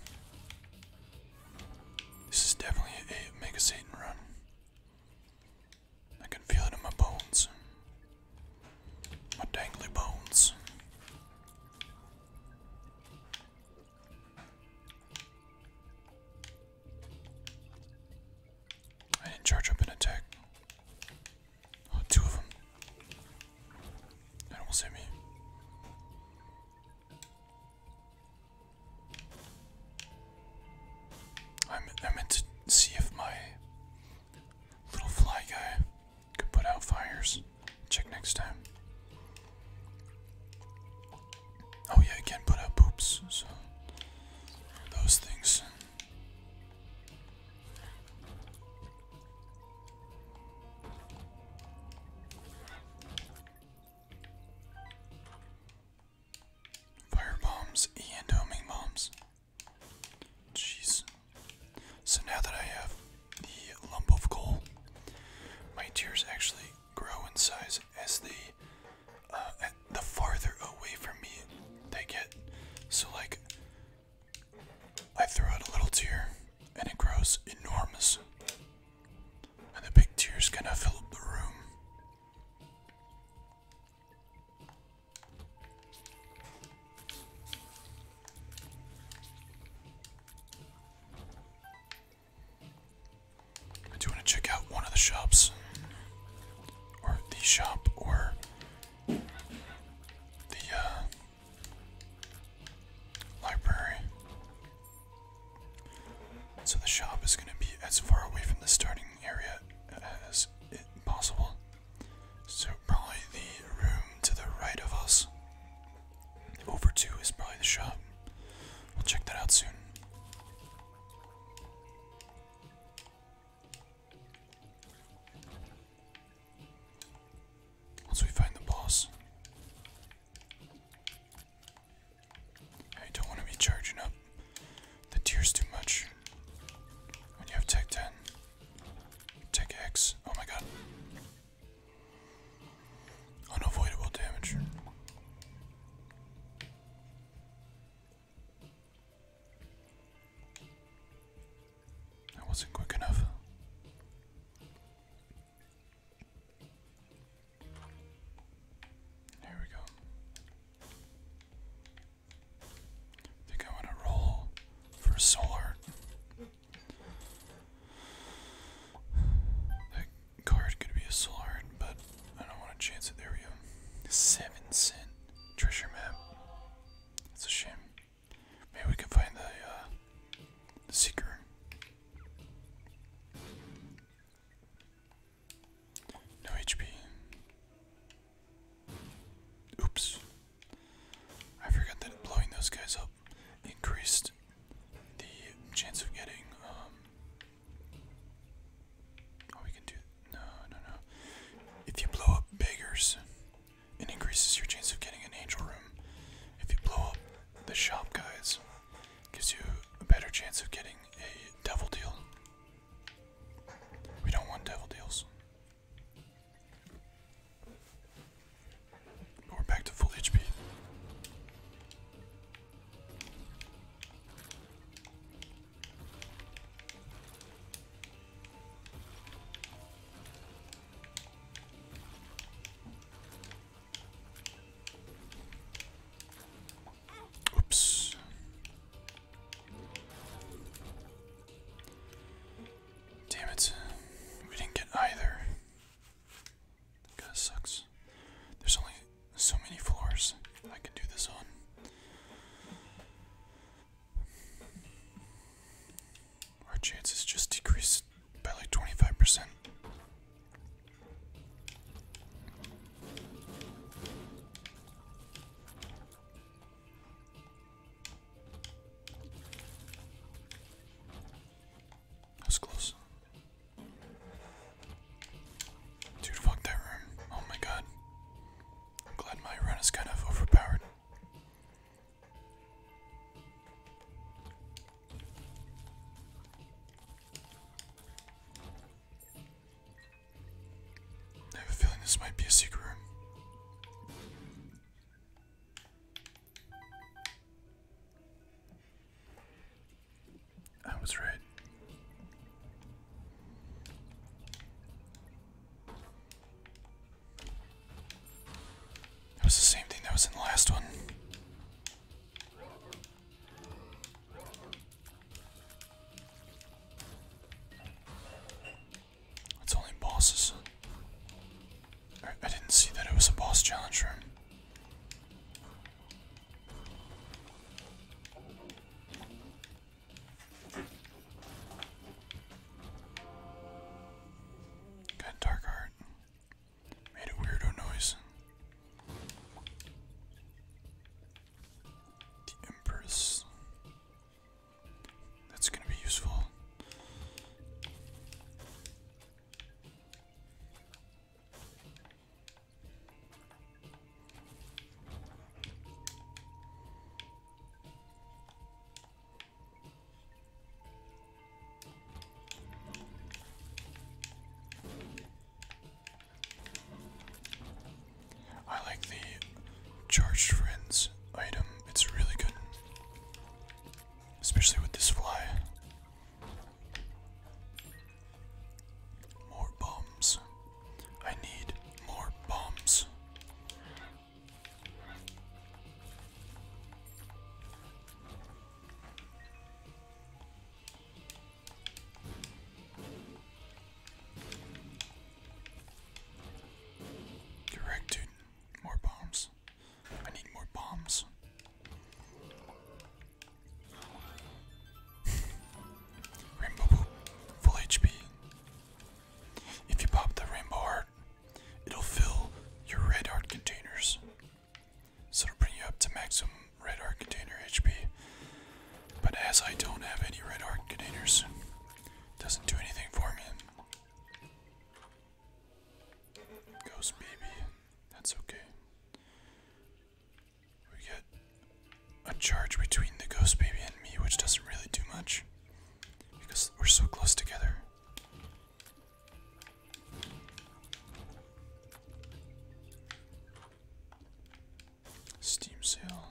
This is definitely a Mega Satan run. I can feel it in my bones. My dangly bones. I didn't charge up an attack. Oh, two of them. That almost hit me. I'm, I meant to see if my little fly guy could put out fires. Check next time. Oh yeah, I can put out poops, so those things. Fire bombs and homing bombs. Jeez. So now that I have the lump of gold, my tears actually grow in size as they uh, the farther away from me they get. So like I throw out a little tear and it grows enormous. And the big tears kind of fill up the room. I do want to check out one of the shops, or the shop, or the uh, library. So the shop is going to be as far away from the starting area as possible. So probably the room to the right of us. Over two is probably the shop. We'll check that out soon. Once we find the boss, I don't want to be charging up the tiers too much when you have Tech 10, Tech X. Oh my god. Unavoidable damage. That wasn't quick enough. There we go. think I want to roll for solar. That Card could be a Solard, but I don't want to chance it. There we go. Seven cent treasure map. That's a shame. Maybe we can find the uh, seeker. No HP. Oops. I forgot that blowing those guys up increased the chance of getting um, Oh, we can do. No, no, no. If you blow up beggars, it increases your chance of getting an angel room. If you blow up the shop guys, gives you a better chance of getting a devil deal. We don't want devil deals. we're back to full HP. Oops. Damn it. We didn't get either. That kinda sucks. There's only so many floors I can do this on. Our chances just decreased by like 25%. That's close. Dude, fuck that room. Oh my god. I'm glad my run is kind of overpowered. I have a feeling this might be a secret room. I was right. That was the same thing that was in the last one. It's only bosses. I didn't see that it was a boss challenge room. Good dark art. Made a weirdo noise. The Empress. That's gonna be useful. I like the charged friends item, it's really good, especially with this fly. More bombs. I need more bombs. Correct, dude. More bombs. I need more bombs. Rainbow full HP. If you pop the Rainbow Heart, it'll fill your Red Heart containers. So it'll bring you up to maximum Red Heart container HP. But as I don't have any Red Heart containers, doesn't do anything for me. Ghost baby, that's okay. We get a charge between the ghost baby and me, which doesn't really do much because we're so close together. Steam sale.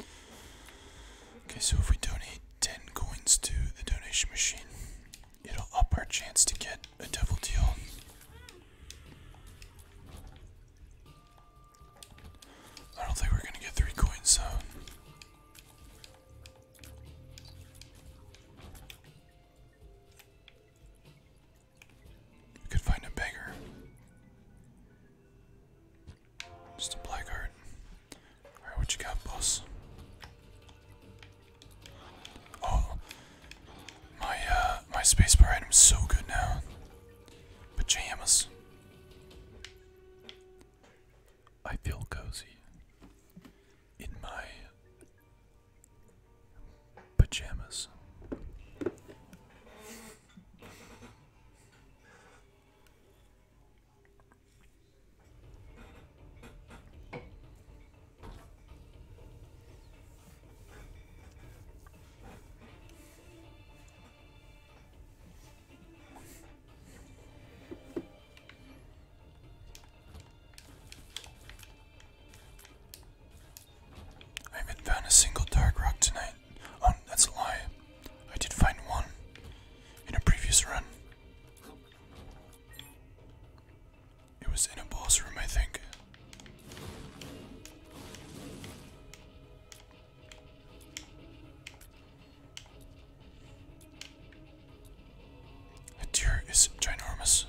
Okay, so if we donate 10 coins to the donation machine, it'll up our chance to get a devil deal. I don't think we're gonna get three coins though. We could find a beggar. Just a blackguard. what you got, boss? Oh, my uh, my spacebar item's so good now. Pajamas. I feel cozy in my pajamas. I haven't found a single dark rock tonight. Oh, that's a lie. I did find one in a previous run. It was in a boss room, I think. That deer is ginormous.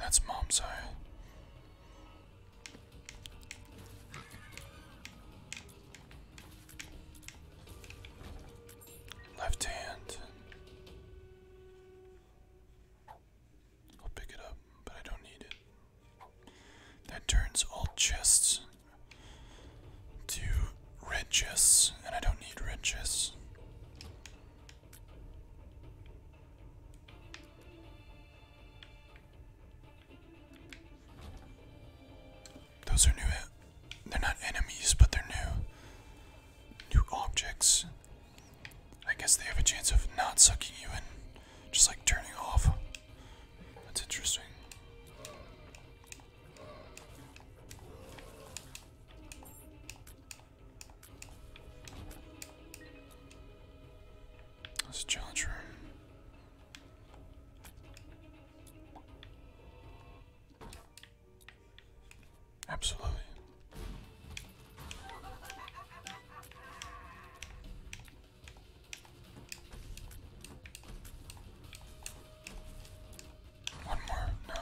that's mom's eye. Left hand. I'll pick it up, but I don't need it. That turns all chests to red chests, and I don't need red chests. Those are new. Eh? They're not enemies, but they're new. New objects. I guess they have a chance of not sucking you in, just like turning off. That's interesting. That's a challenge room. Absolutely. One more, no.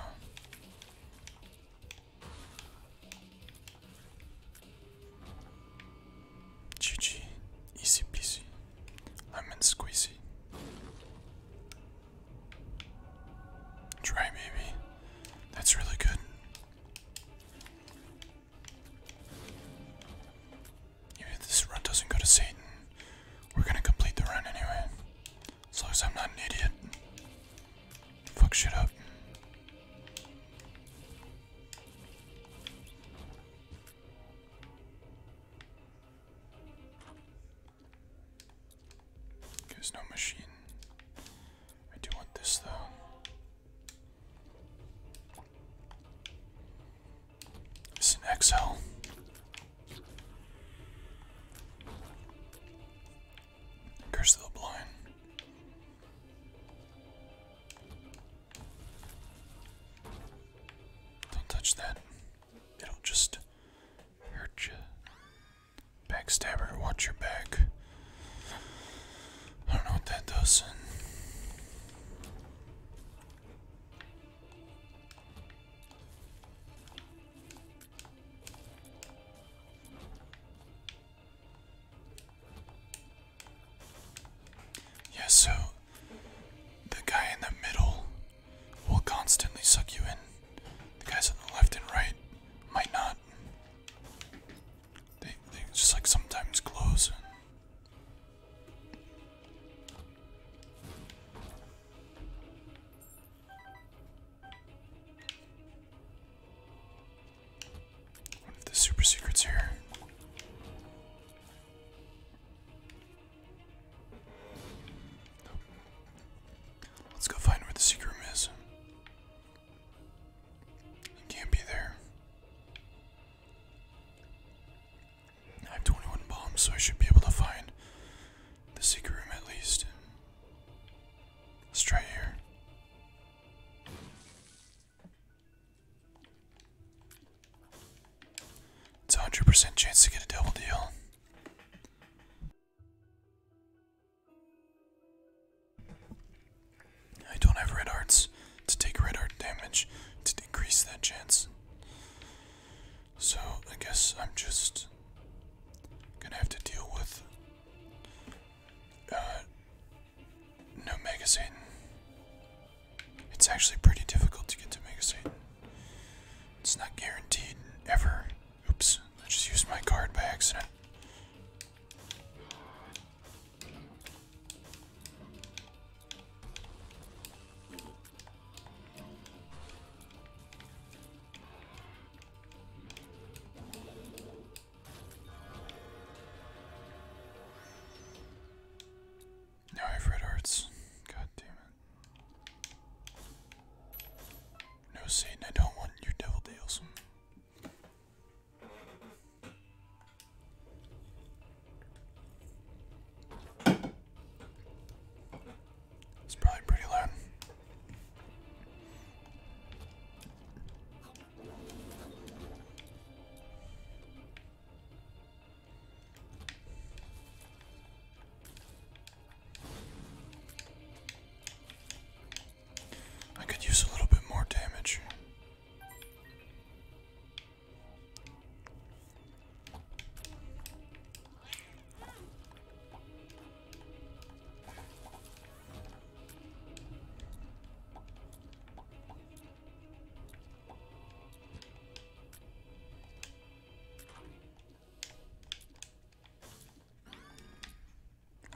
GG, easy peasy, lemon squeezy. Try maybe. That's really good. this run doesn't go to Satan, we're gonna complete the run anyway. As long as I'm not an idiot. Fuck shit up. There's no machine. I do want this though. It's an XL. Curse the blind. Don't touch that. It'll just hurt you. Backstabber, watch your back. I don't know what that does. Yeah, so the guy in the middle will constantly suck you in. The guys on the left and right might not. They they just like sometimes close. What if the super secret's here? Let's go find where the secret room is. can't be there. I have 21 bombs, so I should be able to find the secret room at least. Let's try here. It's a 100% chance to get a double deal. I don't have red hearts to take red heart damage to decrease that chance. So I guess I'm just gonna have to deal with uh, no Mega It's actually pretty difficult to get to Mega It's not guaranteed ever Oops, I just used my card by accident. Now I have red hearts. God damn it. No, Satan, I don't want your devil deals. It's probably pretty loud. I could use a little bit more damage.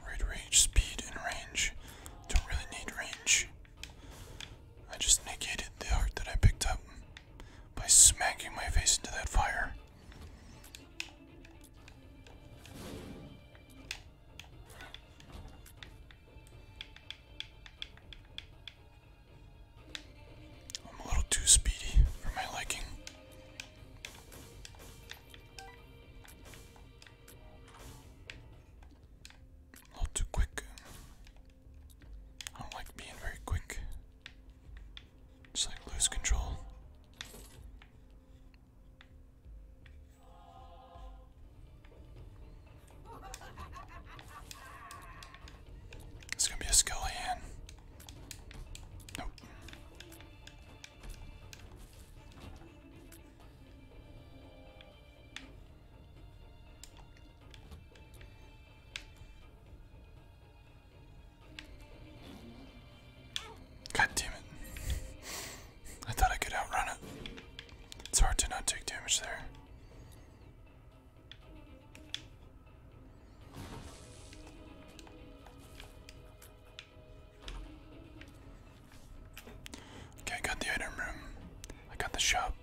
Raid rage, speed, and range. Don't really need range. I just negated the heart that I picked up by smacking my face into that fire. I'm a little too speedy for my liking. Not too quick. I don't like being very quick. Just like lose control. It's gonna be a skull Nope. God damn it. I thought I could outrun it. It's hard to not take damage there. Okay, I got the item room. I got the shop.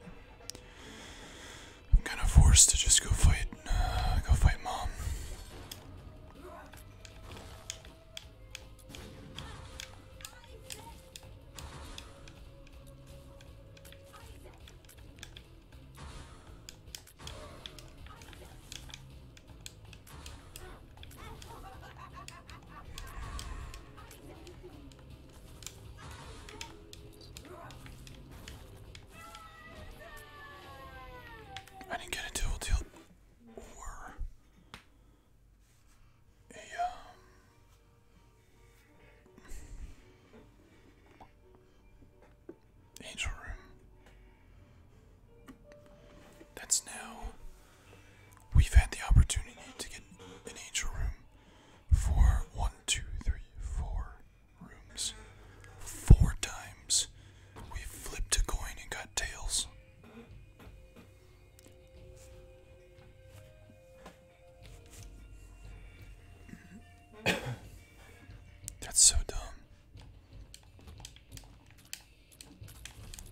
I'm kind of forced to just go fight, uh, go fight mom. I didn't get a dual tilt or a um, angel room. That's now. We've had the opportunity to get an angel room for one, two, three, four rooms. Four times. We flipped a coin and got tails. That's so dumb.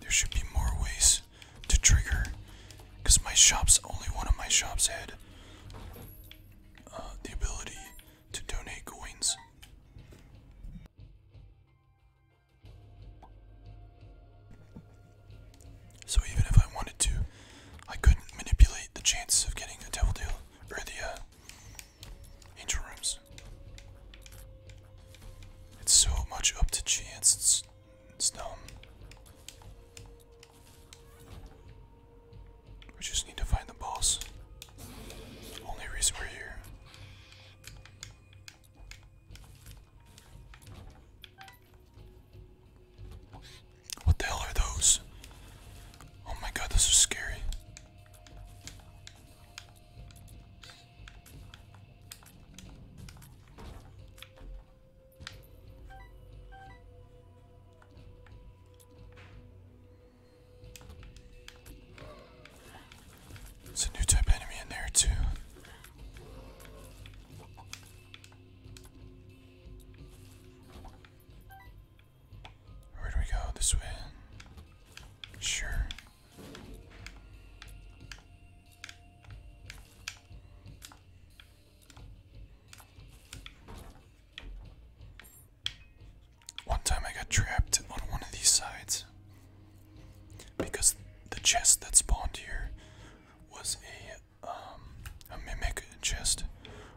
There should be more ways to trigger, because my shop's only one of my shops had uh, the ability to donate coins. So even if I wanted to, I couldn't manipulate the chances of getting a devil deal or the uh, Interims. It's so much up to chance. It's, it's dumb. We just need to find the boss. Only reason we're here. What the hell are those? Oh my god, this is scary. There's a new type enemy in there too. Where do we go? This way? Sure. One time I got trapped on one of these sides because the chest that spawned here was a um, mimic chest.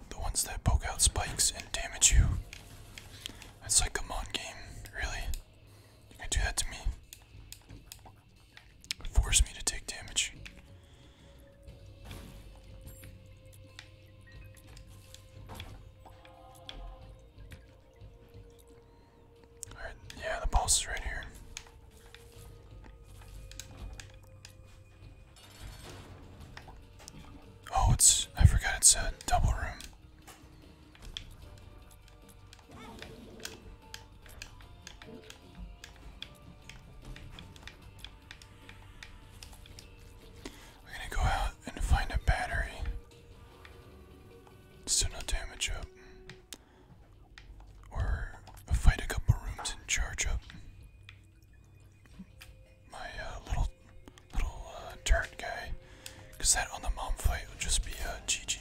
The ones that poke out spikes and damage you. It's like a mon game, really. You can do that to me. Force me to take damage. Alright, yeah, the pulse is right here. Oh, it's. I forgot it's a double room. We're going to go out and find a battery. Still no damage up. Or fight a couple rooms and charge up my uh, little little uh, guy. Because that on the mom fight would just be a uh, GG.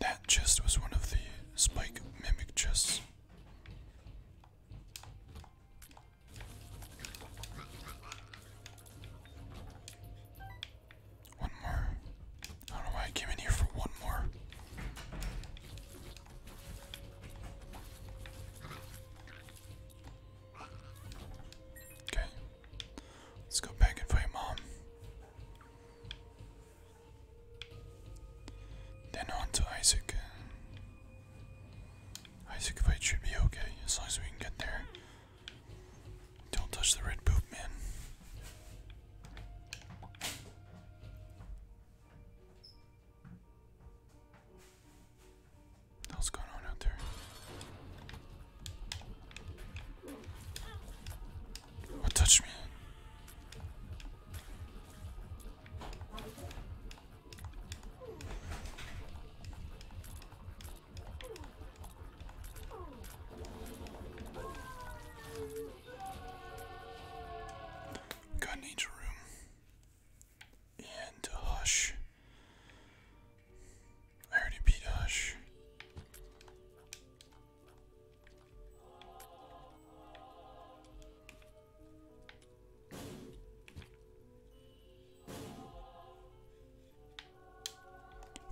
That chest was one of the spike mimic chests. One more. I don't know why I came in here for one more. Okay. Let's go back and fight mom. Then on to Isaac. Isaac fight should be okay as long as we can get there. Don't touch the red poop, man. What's going on out there? What touched me? Gun room. And Hush. I already beat Hush.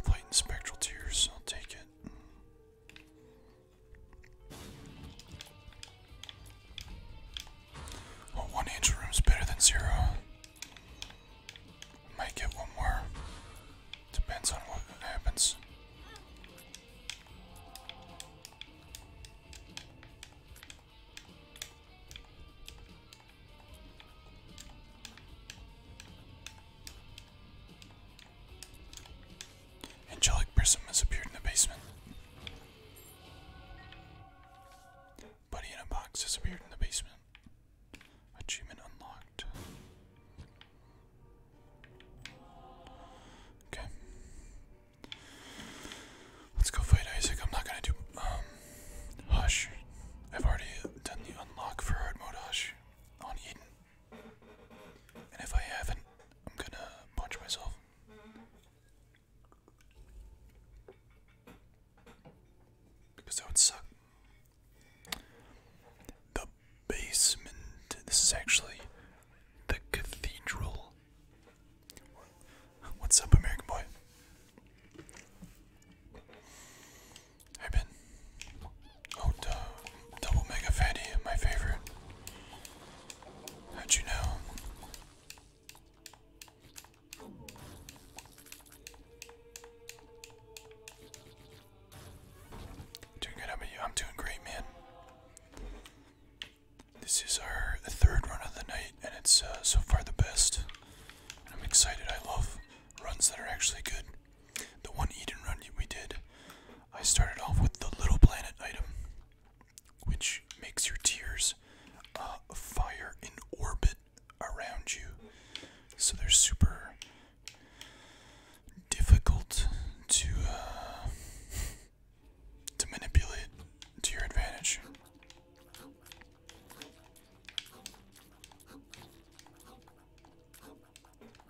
Light and Spectral Tears, I'll take it. one angel room's better than zero. Might get one more. Depends on what happens. Angelic Prism has appeared in the basement. Buddy in a box has appeared in the basement. Achievement unlocked. Okay. Let's go fight Isaac. I'm not gonna do um hush. I've already done the unlock for hard mode hush on Eden. And if I haven't, I'm gonna punch myself. Because that would suck. The basement. This is actually the cathedral. What's up, American boy? I've been. Oh, Double Mega Fatty, my favorite. How'd you know? good, how about you? I'm doing great, man. This is our third run of the night, and it's uh, so far the best. I'm excited. I love runs that are actually good. The one Eden run we did, I started off with the Little Planet item, which makes your tears uh, fire in orbit around you. So they're super difficult to uh, to manipulate to your advantage.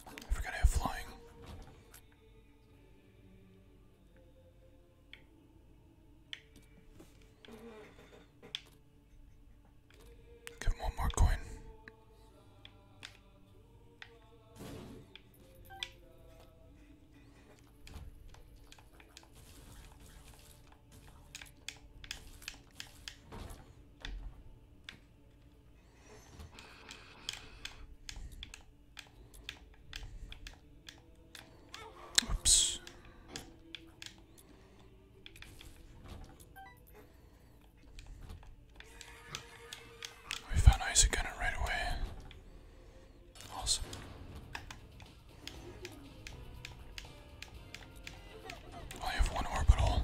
I forgot I have flying. Give him one more coin. Oops. We found ice again right away. Awesome. I only have one orbital,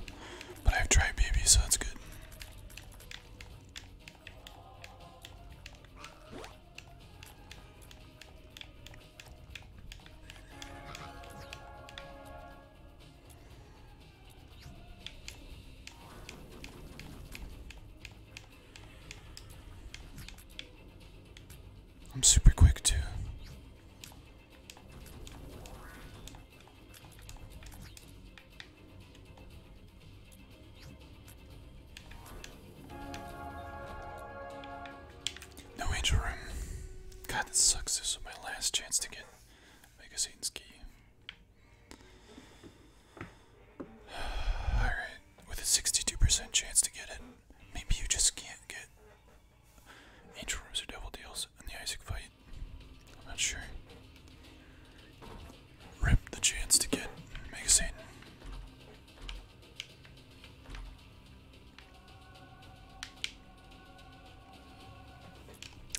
but I have Tri Baby, so that's good. I'm super quick too. No angel room. God, this sucks. This is my last chance to get Mega Satan's key. Alright, with a 62% chance to get it, maybe you just can't get Angel rooms are double deals in the Isaac fight. I'm not sure. Rip the chance to get Mega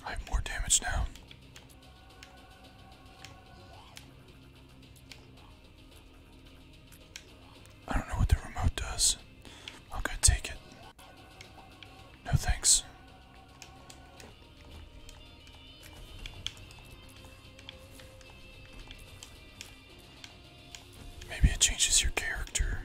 I have more damage now. I don't know what the remote does. I'm going take it. No thanks. Maybe it changes your character.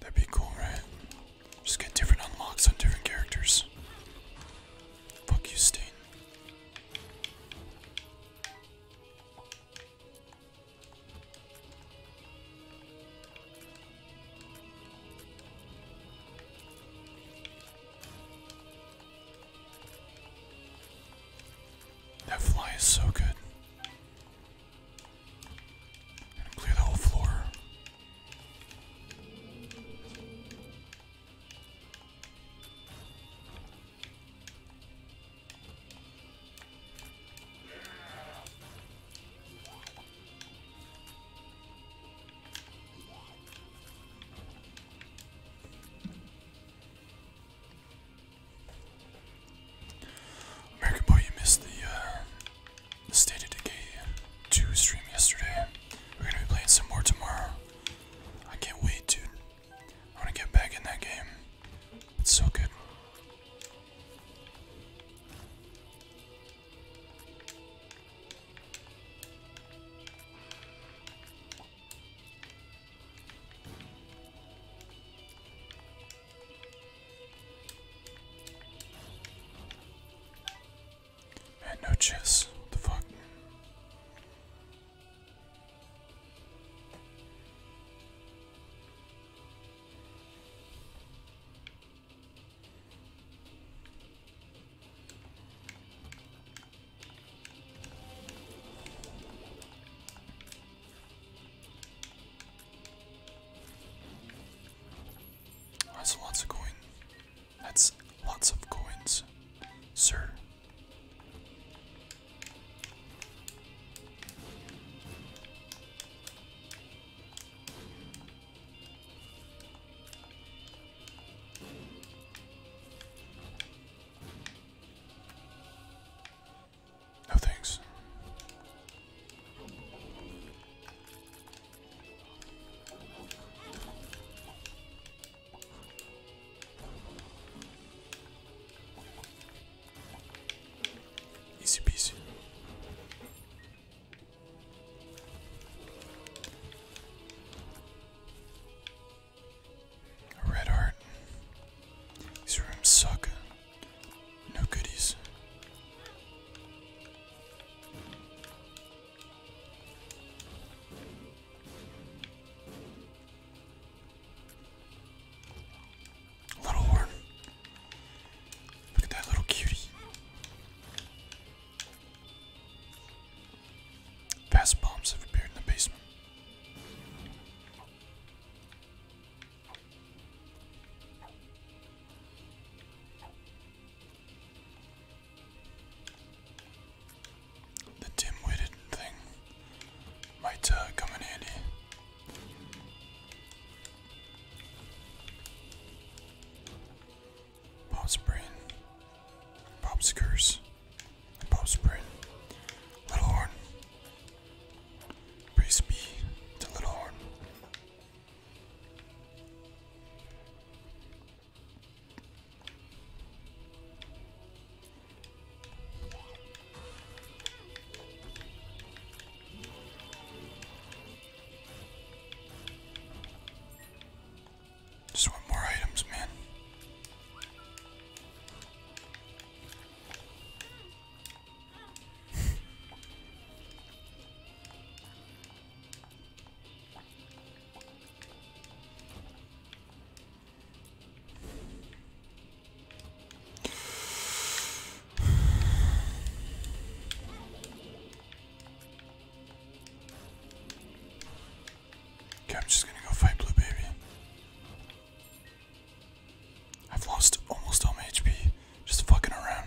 That'd be cool, right? Just get different unlocks on different characters. Fuck you, Stain. That fly is so good. clear the whole floor. American boy, you missed the uh, the State of Decay to stream yesterday. We're gonna be playing some more tomorrow. I can't wait, dude. I wanna get back in that game. It's so good. I no chess. What the fuck? That's lots of coin. That's lots of coins, sir. No thanks. Easy peasy. Red heart. These rooms suck. No goodies. Little horn. Look at that little cutie. Past bombs have appeared in the basement. The dim-witted thing might uh, come in handy. Pop's brain, Pop's curse, and Pop's Little horn. Praise be to Little horn. Just want more items, man. Okay, I'm just gonna go fight Blue Baby. I've lost almost all my HP just fucking around.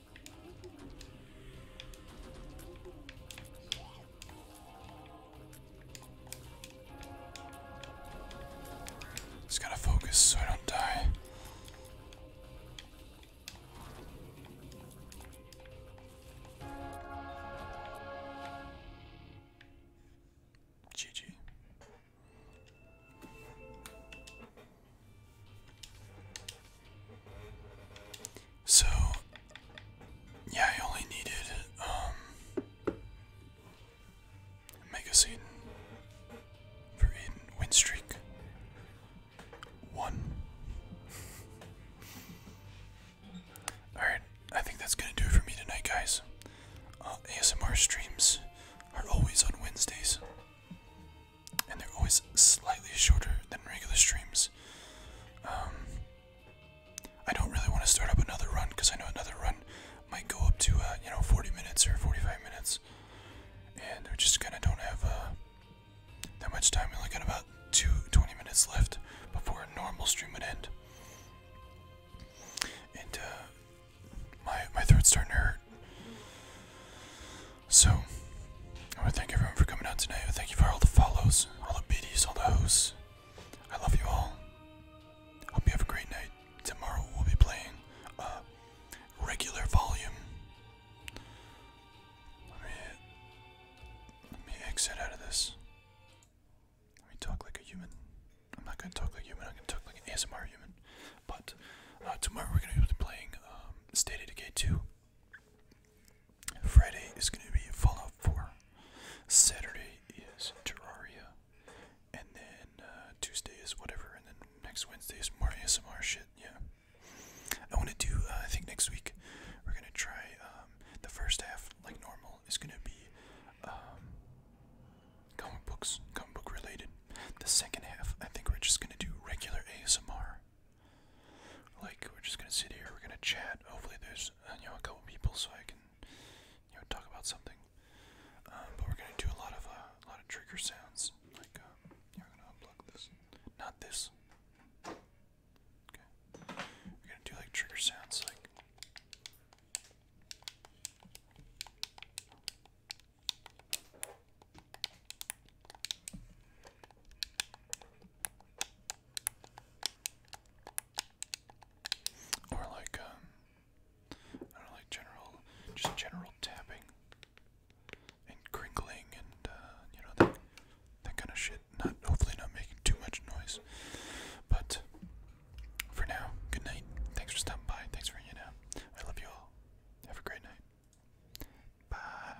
Just gotta focus so I don't die. GG. So, yeah, I only needed um, Mega Satan for Aiden win streak one. All right, I think that's gonna do it for me tonight, guys. Uh, ASMR streams are always on Wednesdays, and they're always slightly shorter than regular streams. Um, I don't really want to start up another run because I know another run might go up to uh, you know 40 minutes or 45 minutes, and we just gonna don't have uh, that much time. We only got about two 20 minutes left before a normal stream would end. And uh, my my throat's starting to hurt. So, I want to thank everyone for coming out tonight. I thank you for all the follows, all the biddies, all the hosts. I love you all. Hope you have a great night. Tomorrow we'll be playing uh, regular volume. Let me, exit out of this. Let me talk like a human. I'm not going to talk like a human, I'm going to talk like an ASMR human. But uh, tomorrow we're going to be playing um, State of Decay 2. Friday is going to be Fallout 4. Saturday is Terraria. And then uh, Tuesday is whatever. And then next Wednesday is more ASMR shit. Yeah. I want to do, uh, I think next week we're going to try um, the first half, like normal, It's going to be um, comic books, comic book related. The second half, I think we're just going to do regular ASMR. Like we're just gonna sit here, we're gonna chat. Hopefully there's uh, you know a couple people so I can you know talk about something. Um, but we're gonna do a lot of uh, a lot of trigger sounds. Like uh, um, are gonna unplug this, not this. Okay, we're gonna do like trigger sounds like. Or like um, like general just general tapping and crinkling and uh, you know that kind of shit. Not hopefully not making too much noise. But for now, good night. Thanks for stopping by. Thanks for hanging out. I love you all. Have a great night. Bye.